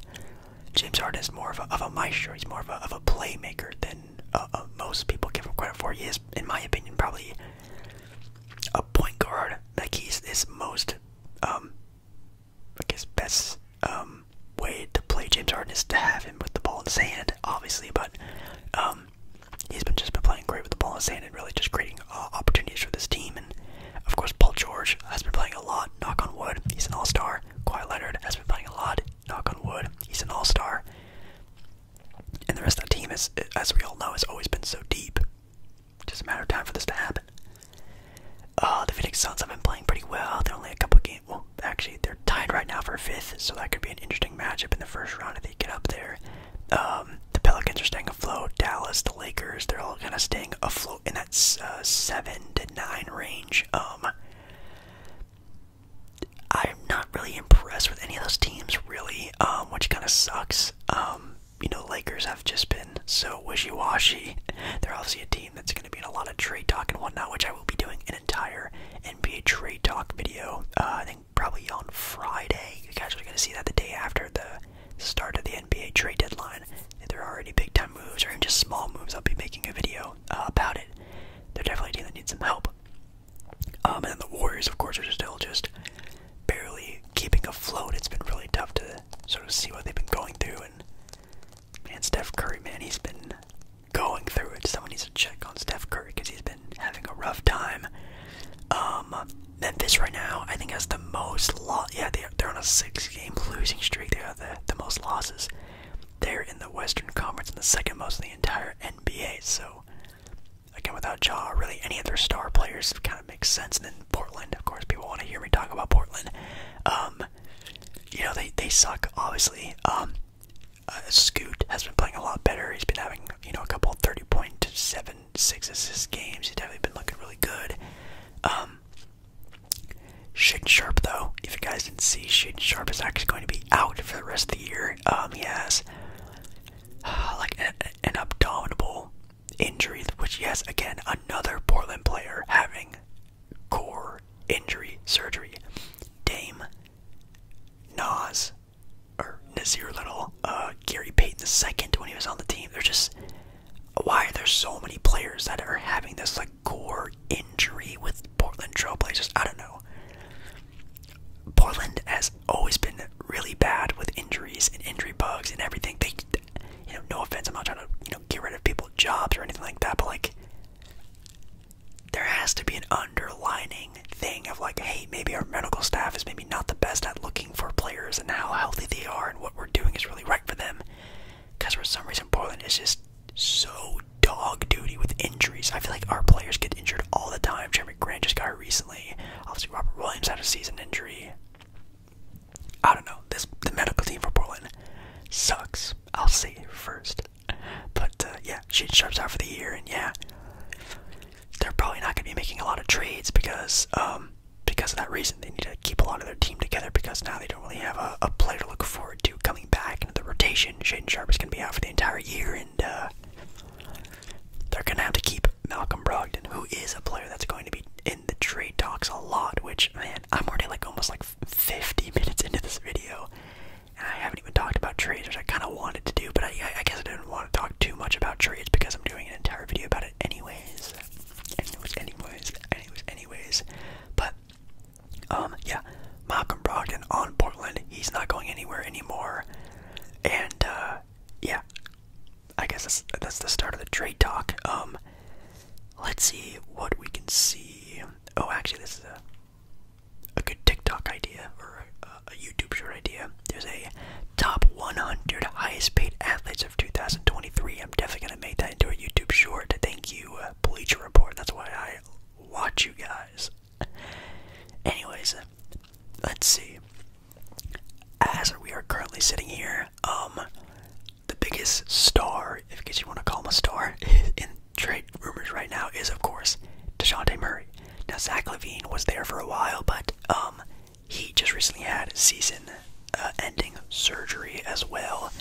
James Harden is more of a, of a maestro. He's more of a, playmaker than uh, uh, most people give him credit for. He is, in my opinion, probably a point guard. Like he's his most, um, like best um, way to play James Harden is to have him with the ball in his hand, obviously. But um, he's been just been playing great with the ball in his hand and really just creating uh, opportunities for his team. And of course, Paul George has been playing a lot. Knock on wood, he's an all-star. Kawhi Leonard has been playing a lot knock on wood, he's an all star. And the rest of the team, is, as we all know, has always been so deep. Just a matter of time for this to happen. Uh, the Phoenix Suns have been playing pretty well. They're only a couple games. Well, actually, they're tied right now for fifth, so that could be an interesting matchup in the first round if they get up there. Um, the Pelicans are staying afloat. Dallas, the Lakers, they're all kind of staying afloat in that uh, seven to nine range. Um, I'm not really impressed with any of those teams, really, um, which kind of sucks. Um, you know, Lakers have just been so wishy-washy. They're obviously a team that's going to be in a lot of trade talk and whatnot, which I will be doing an entire NBA trade talk video. Uh, I think probably on Friday. You guys are going to see that the day after the start of the NBA trade deadline. If there are any big-time moves or even just small moves, I'll be making a video uh, about it they're definitely a team that needs some help. Um, and then the Warriors, of course, are still just barely keeping afloat. It's been really tough to sort of see what they've been going through. And man, Steph Curry, man, he's been going through it. Someone needs to check on Steph Curry because he's been having a rough time. Um, Memphis right now, I think, has the most loss. Yeah, they're, they're on a six-game losing streak. They have the most losses. They're in the Western Conference and the second most in the entire NBA. So, again, without Jaw really any other star players, it kind of makes sense. And then Portland, of course, people want to hear me talk about Portland. Um, you know, they, they suck, obviously. Um, uh, Scoot has been playing a lot better. He's been having, you know, a couple 30.76 assist games. He's definitely been looking really good. Um, Shaden Sharp, though, if you guys didn't see, Shaden Sharp is actually going to be out for the rest of the year. Um, he has uh, like an, an abdominal injury, which he has again another Portland player having core injury surgery. Dame Nas or Nazir Little, uh, Gary Payton II when he was on the team. they're just why are there so many players that are having this like core injury with Portland Trailblazers. I don't know. Portland has always been really bad with injuries and injury bugs and everything. They, you know, no offense, I'm not trying to you know get rid of people's jobs or anything like that, but like, there has to be an underlining thing of like, hey, maybe our medical staff is maybe not the best at looking for players and how healthy they are and what we're doing is really right for them. Because for some reason, Portland is just so dog duty with injuries. I feel like our players get injured all the time. Jeremy Grant just got hurt recently. Obviously, Robert Williams had a season injury. I don't know. This the medical team for Portland sucks. I'll say first. But uh, yeah, Shane Sharp's out for the year, and yeah, they're probably not going to be making a lot of trades because um because of that reason. They need to keep a lot of their team together because now they don't really have a, a player to look forward to coming back into the rotation. Shaden Sharp is going to be out for the entire year, and uh, they're going to have to keep Malcolm Brogdon, who is a player that's going to be in the trade talks a lot. Which man, I'm already like almost like 50 minutes into this video, and I haven't even talked about trades, I kind of wanted to do, but I, guess I didn't want to talk too much about trades because I'm doing an entire video about it Anyways, anyways, anyways, anyways. But um, yeah, Malcolm Brogdon on Portland. He's not going anywhere anymore. And uh, yeah, I guess that's, that's the start of the trade talk. Um, let's see what we can see. Oh, actually, this is a a good TikTok idea or a, YouTube short idea. There's a top 100 highest paid athletes of 2023. I'm definitely gonna make that into a YouTube short. Thank you, uh, Bleacher Report. That's why I watch you guys. Anyways, let's see. As we are currently sitting here, um, the biggest star, if you want to call him a star, in trade rumors right now is, of course, DeJounte Murray. Now, Zach Levine was there for a while, but um, he just recently had season uh, ending surgery as well.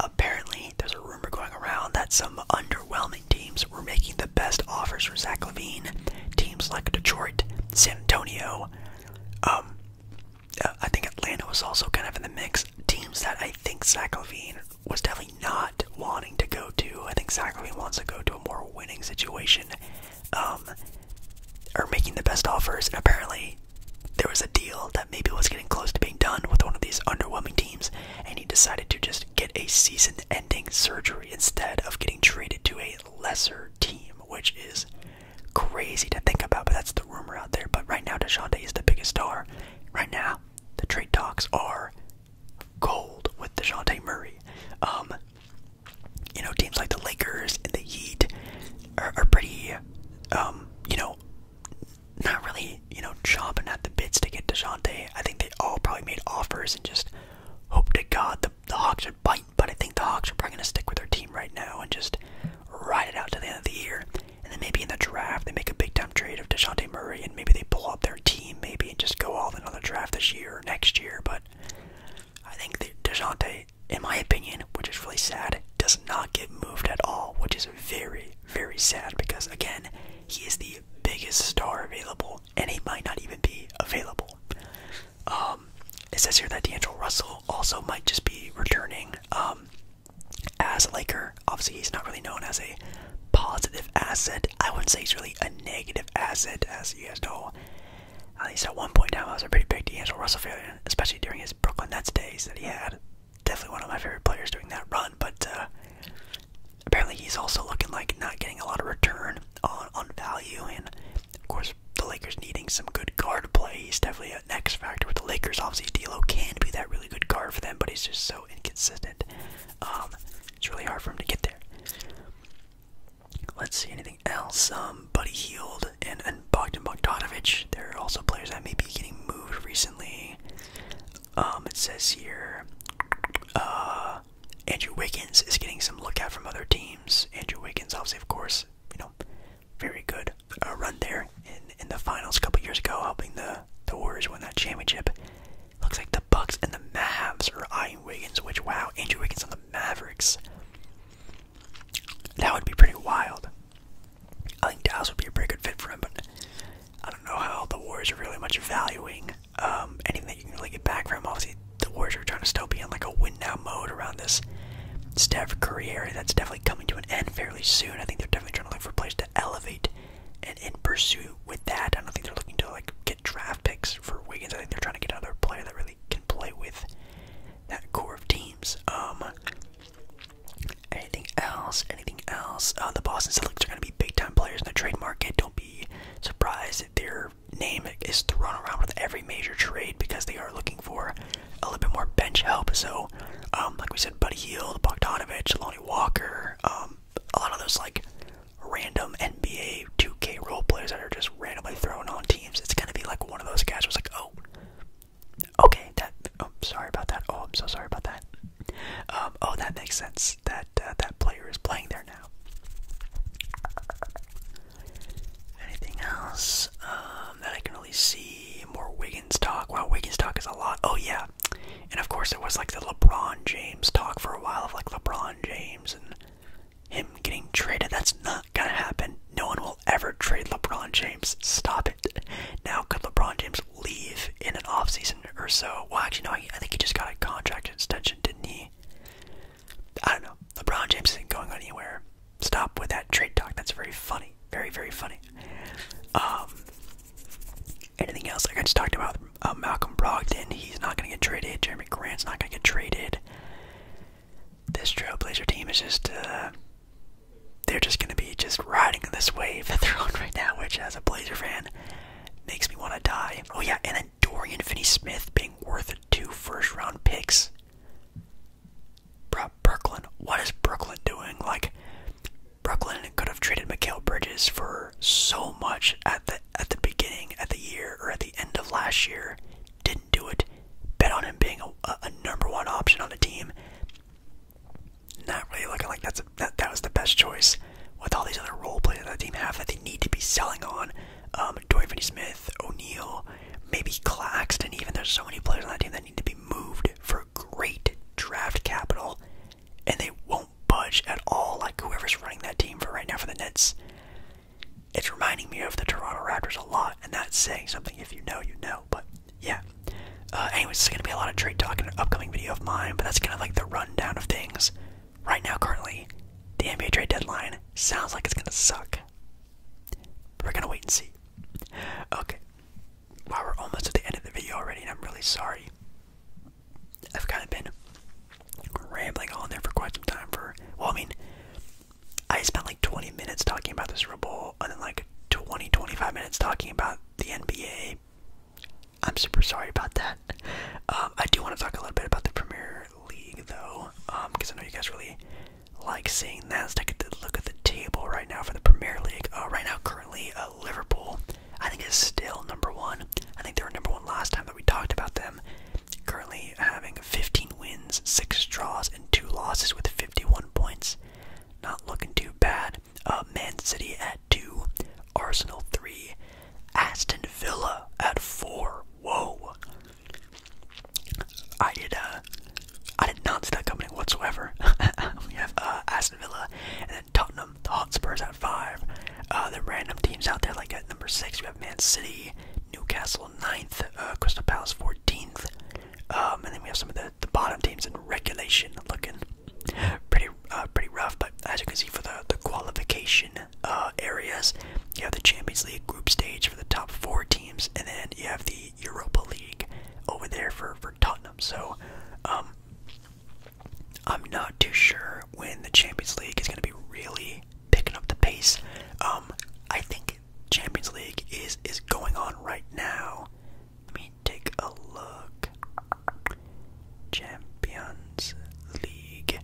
Apparently, there's a rumor going around that some underwhelming teams were making the best offers for Zach Levine. Teams like Detroit, San Antonio, um, uh, I think Atlanta was also kind of in the mix. Teams that I think Zach Levine was definitely not wanting to go to. I think Zach Levine wants to go to a more winning situation. are um, making the best offers, and apparently there was a deal that maybe was getting close to being done with one of these underwhelming teams, and he decided to just get a season ending surgery instead of getting traded to a lesser team, which is crazy to think about, but that's the rumor out there. But right now, DeJounte is the biggest star. Right now, the trade talks are gold with DeJounte Murray. Um, you know, teams like the Lakers and the Heat are, pretty, um, you know, not really, you know, chomping at the bits to get Deshante. I think they all probably made offers and just hope to God the, the Hawks would bite. But I think the Hawks are probably going to stick with their team right now and just ride it out to the end of the year. And then maybe in the draft, they make a big time trade of Deshante Murray and maybe they pull up their team, maybe, and just go all another draft this year or next year. But I think that DeJounte, in my opinion, which is really sad, does not get moved at all, which is very, very sad because, again, he is the biggest star available, and he might not even be available. Um, it says here that D'Angelo Russell also might just be returning um, as a Laker. Obviously, he's not really known as a positive asset. I wouldn't say he's really a negative asset, as you guys know. At least at one point in time, I was a pretty big D'Angelo Russell fan, especially during his Brooklyn Nets days that he had definitely one of my favorite players during that run, but uh, apparently he's also looking like not getting a lot of return on, on value. And of course, the Lakers needing some good guard play. He's definitely an X factor with the Lakers. Obviously, D'Lo can be that really good guard for them, but he's just so inconsistent. Um, it's really hard for him to get there. Let's see anything else. Um, Buddy Heald and, and Bogdan Bogdanovic. There are also players that may be getting moved recently. Um, it says here, uh, Andrew Wiggins is getting some lookout from other teams. Andrew Wiggins, obviously, of course, you know, very good uh, run there in in the finals a couple years ago, helping the the Warriors win that championship. Looks like the Bucks and the Mavs are eyeing Wiggins, which wow, Andrew Wiggins on the Mavericks. That would be pretty wild. I think Dallas would be a pretty good fit for him, but I don't know how the Warriors are really much valuing um, anything that you can really get back from. Obviously, the Warriors are trying to still be in like a win now mode around this Steph Curry area that's definitely coming to an end fairly soon. I think they're definitely trying to look for a place to elevate and in pursuit with that. I don't think they're looking to like get draft picks for Wiggins. I think they're trying to get another player that really can play with that core of teams. Um, Anything else? Anything else? Uh, the Boston Celtics are going to be big time players in the trade market. Don't be surprised if their name is thrown around with every major trade because they are looking for a little bit more bench help. So, um, like we said, Buddy Hield, Bogdanovich, Lonnie Walker, um, a lot of those like random NBA 2K role players that are just randomly thrown on teams. It's going to be like one of those guys was like, oh, Okay, that. Oh, sorry about that. Oh, I'm so sorry about that. Um, oh, that makes sense. That uh, that player is playing there now. Anything else um, that I can really see? More Wiggins talk. Wow, Wiggins talk is a lot. Oh yeah, and of course it was like the LeBron James talk for a while of like LeBron James and him getting traded. That's not gonna happen. No one will ever trade LeBron James. Stop it. Now, could LeBron James leave in an offseason or so? Well, actually, no, I think he just got a contract extension, didn't he? I don't know. LeBron James isn't going anywhere. Stop with that trade talk. That's very funny. Very, very funny. Um, anything else? Like I just talked about uh, Malcolm Brogdon. He's not going to get traded. Jeremy Grant's not going to get traded. This Trailblazer team is just, uh, they're just going to be just riding this wave that they're on right now, which as a Blazer fan makes me want to die. Oh yeah, and then Dorian Finney-Smith being worth two first-round picks. Brooklyn, what is Brooklyn doing? Like, Brooklyn could have traded Mikhail Bridges for so much at the at the beginning, at the year, or at the end of last year. Didn't do it. Bet on him being a, number one option on a team not really looking like that's that that was the best choice with all these other role players that the team have that they need to be selling on. Um, Dorian Finney-Smith, O'Neal, maybe Claxton. Even there's so many players on that team that need to be moved for great draft capital, and they won't budge at all. Like whoever's running that team for right now for the Nets, it's reminding me of the Toronto Raptors a lot, and that's saying something. If you know, you know, but yeah. Uh, anyways, it's gonna be a lot of trade talk in an upcoming video of mine, but that's kind of like the rundown of things. Right now, currently, the NBA trade deadline sounds like it's gonna suck. We're gonna wait and see. Okay. Wow, we're almost at the end of the video already, and I'm really sorry. I've kind of been rambling on there for quite some time. For well, I mean, I spent like 20 minutes talking about this Super and then like 20, 25 minutes talking about the NBA I'm super sorry about that. Um, I do want to talk a little bit about the Premier League, though, because um, I know you guys really like seeing that. Let's take a look at the table right now for the Premier League. Uh, right now, currently, uh, Liverpool, I think, is still number one. I think they were number one last time that we talked about them. Currently having 15 wins, 6 draws, and 2 losses with 51 points. Not looking too bad. Uh, Man City at two, Arsenal three, Aston Villa at four. Whoa! I did. Uh, I did not see that coming whatsoever. we have uh, Aston Villa and then Tottenham, the Hotspurs at five. Uh, the random teams out there, like at number six, we have Man City, Newcastle ninth, Crystal Palace fourteenth, um, and then we have some of that the, bottom teams in regulation looking pretty uh, pretty rough. But as you can see for the the qualification uh, areas, you have the Champions League group stage for the top four teams, and then you have the Europa League over there for for Tottenham. So. Um, I'm not too sure when the Champions League is going to be really picking up the pace. Um, I think Champions League is is going on right now. Let me take a look. Champions League.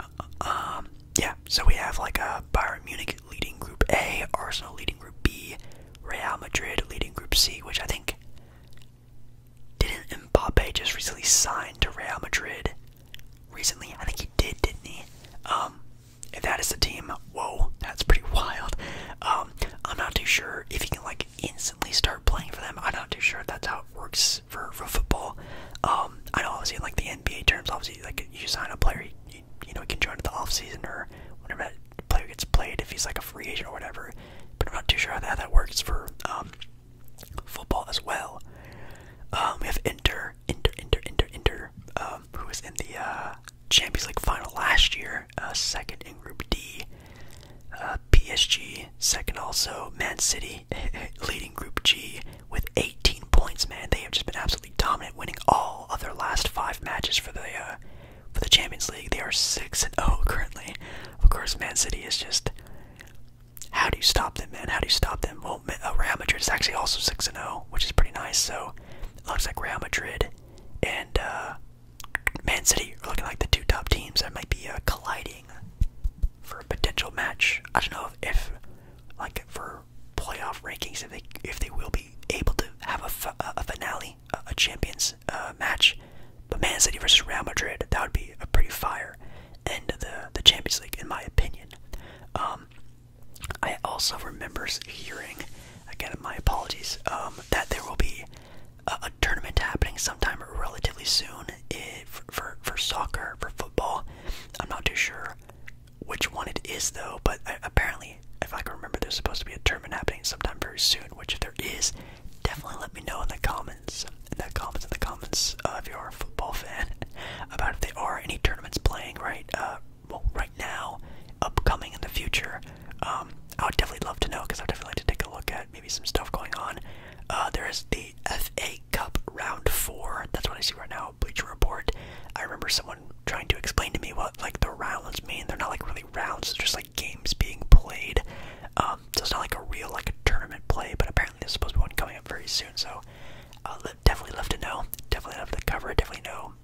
Uh, uh, um, yeah, so we have like a Bayern Munich leading Group A, Arsenal leading Group B, Real Madrid leading Group C, which I think didn't Mbappe just recently sign to Real Madrid? Recently, I think he did, didn't he? Um, if that is the team, whoa, that's pretty wild. Um, I'm not too sure if he can like in instantly start playing for them. I'm not too sure if that's how it works for, for football. Um, I know obviously like the NBA terms, obviously like you sign a player, you, know, he can join at the off season or whenever that player gets played if he's like a free agent or whatever. But I'm not too sure how that, that works for um, football as well. Um, we have Inter, Inter, Inter, Inter, Inter, um, who was in the uh, Champions League final last year, uh, second in Group D. Uh, PSG second, also Man City leading Group G with 18 points. Man, they have just been absolutely dominant, winning all of their last five matches for the uh, for the Champions League. They are six and zero oh currently. Of course, Man City is just. How do you stop them, man? How do you stop them? Well, uh, Real Madrid is actually also six and zero, oh, which is pretty nice. So, it looks like Real Madrid and. Man City are looking like the two top teams that might be uh, colliding for a potential match. I don't know if, like for playoff rankings, if they if they will be able to have a, a finale, a, champions uh, match. But Man City versus Real Madrid, that would be a pretty fire end of the the Champions League, in my opinion. Um, I also remember hearing, again, my apologies, um, that there will be a, tournament happening sometime relatively soon if, eh, for for soccer for football. I'm not too sure which one it is though, but uh, apparently, if I can remember, there's supposed to be a tournament happening sometime very soon. Which if there is, definitely let me know in the comments, in the comments, in the comments, uh, if football fan, about if there are any tournaments playing right, uh, well, right now, upcoming in the future. Um, I would definitely love to know because I'd definitely like to take a look at maybe some stuff going on. Uh, there is the FA Cup round four. That's what I see right now. Bleacher Report. I remember someone trying to explain to me what like the rounds mean. They're not like really rounds. It's just like games being played. Um, so it's not like a real like a tournament play. But apparently there's supposed to be one coming up very soon. So uh, definitely love to know. Definitely love to cover. Definitely know.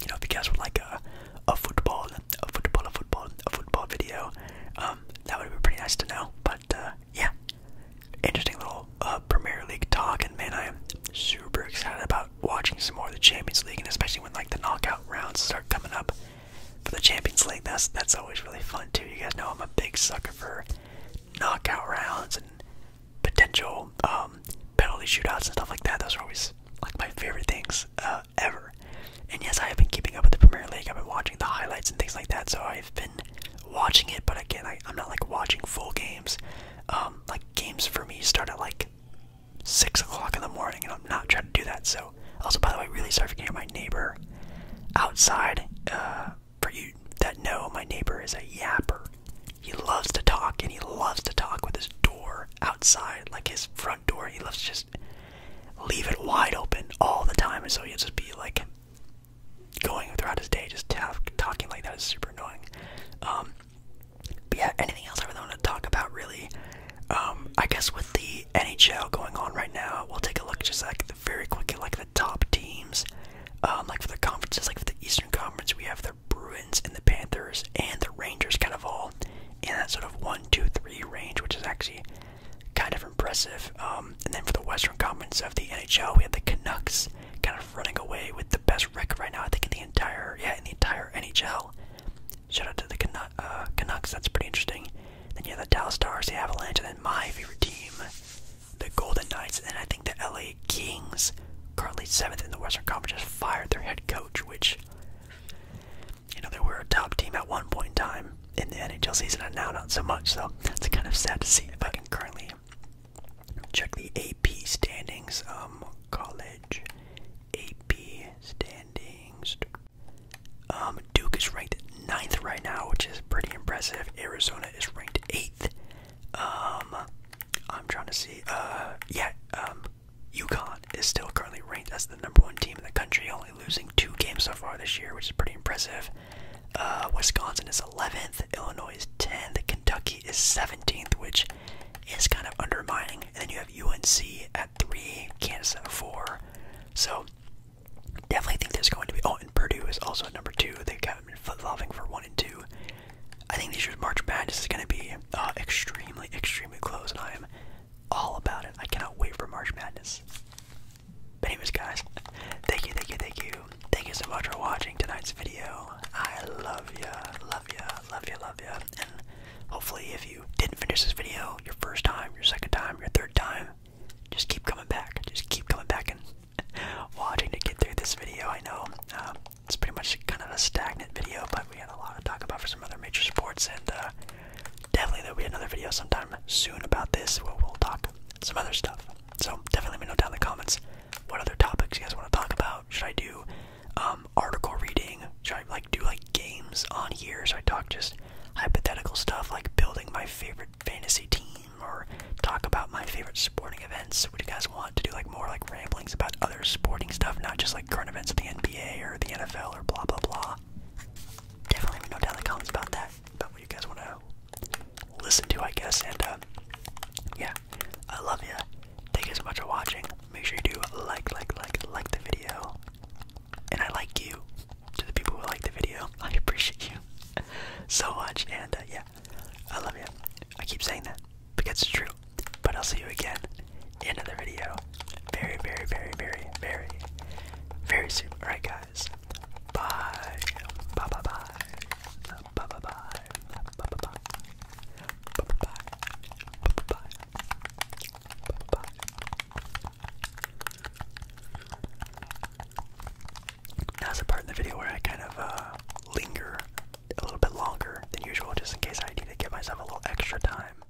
You know if you guys would like a a football a football, a football, a football video. Um, that would be pretty nice to know. But uh, yeah, interesting little uh, Premier League talk, and man, I am super excited about watching some more of the Champions League, and especially when like the knockout rounds start coming up for the Champions League. That's that's always really fun too. You guys know I'm a big sucker for knockout rounds and potential um, penalty shootouts and stuff like that. Those are always like my favorite things uh, ever. And yes, I have been keeping up with the Premier League. I've been watching the highlights and things like that. So I've been watching it, but again, I, am not like watching full games. Um, like games for me start at like six o'clock in the morning, and I'm not trying to do that. So also, by the way, really sorry for you my neighbor outside. Uh, for you that know, my neighbor is a yapper. He loves to talk, and he loves to talk with his door outside, like his front door. He loves just leave it wide open all the time, and so he'll just be like going throughout his day, just talking like that is super annoying. Um, but yeah, anything else I want to talk about, really? Um, I guess with the NHL going on right now, we'll take a look just like very quickly, like the top teams, um, like for the conferences, like for the Eastern Conference, we have the Bruins and the Panthers and the Rangers kind of all in that sort of one, two, three range, which is actually kind of impressive. Um, and then for the Western Conference of the NHL, we had the Canucks kind of running away with the best record right now. I think in the entire yeah in the entire NHL. Shout out to the uh, Canucks. That's pretty interesting. Then you have the Dallas Stars, the Avalanche, and then my favorite team, the Golden Knights. And I think the LA Kings, currently seventh in the Western Conference, just fired their head coach, which you know, they were a top team at one point in time in the NHL season, and now not so much. So it's kind of sad to see. If I can currently check the AP standings, um, college AP standings. Um, Duke is ranked ninth right now, which is pretty impressive. Arizona is ranked eighth. Um, I'm trying to see. Uh, yeah. Um, UConn is still currently ranked as the number one team in the country, only losing two games so far this year, which is pretty impressive. Uh, Wisconsin is 11th, Illinois is 10th, Kentucky is 17th, which is kind of undermining. And then you have UNC at 3, Kansas at 4. So definitely think there's going to be. Oh, and Purdue is also number 2. They've kind of been fluffing for 1 and 2. I think this year's March Madness is going to be uh, extremely, extremely close, and I am all about it. I cannot wait for March Madness. But anyways, guys, thank you, thank you, thank you, thank you so much for watching tonight's video. I love you, love you, love you, love you. And hopefully, if you didn't finish this video, your first time, your second time, your third time, just keep coming back. Just keep coming back and watching to get through this video. I know um, it's pretty much kind of a stagnant video, but we had a lot to talk about for some other major sports and. Uh, definitely there'll be another video sometime soon about this where we'll talk some other stuff. So definitely let me know down in the comments what other topics you guys want to talk about. Should I do um, article reading? Should I like do like games on here? Should I talk just hypothetical stuff like building my favorite fantasy team or talk about my favorite sporting events? Would you guys want to do like more like ramblings about other sporting stuff, not just like current events of the NBA or the NFL or blah blah blah? Definitely let know down in the comments about that, about what you guys want to listen to, I guess. And uh, yeah, I love you. Thank you so much for watching. Make sure you do like, like, like, like the video. And I like you. To the people who like the video, I appreciate you so much. And uh, yeah, I love you. I keep saying that because it's true. But I'll see you again end of the video very, very, very, very, very, very soon. Alright, guys. Bye. Bye, bye, bye. Bye, bye, bye. Bye, bye, bye. Bye, bye, bye. Bye, bye, bye. Bye, bye. Now's the part in the video where I kind of uh, linger a little bit longer than usual, just in case I need to give myself a little extra time.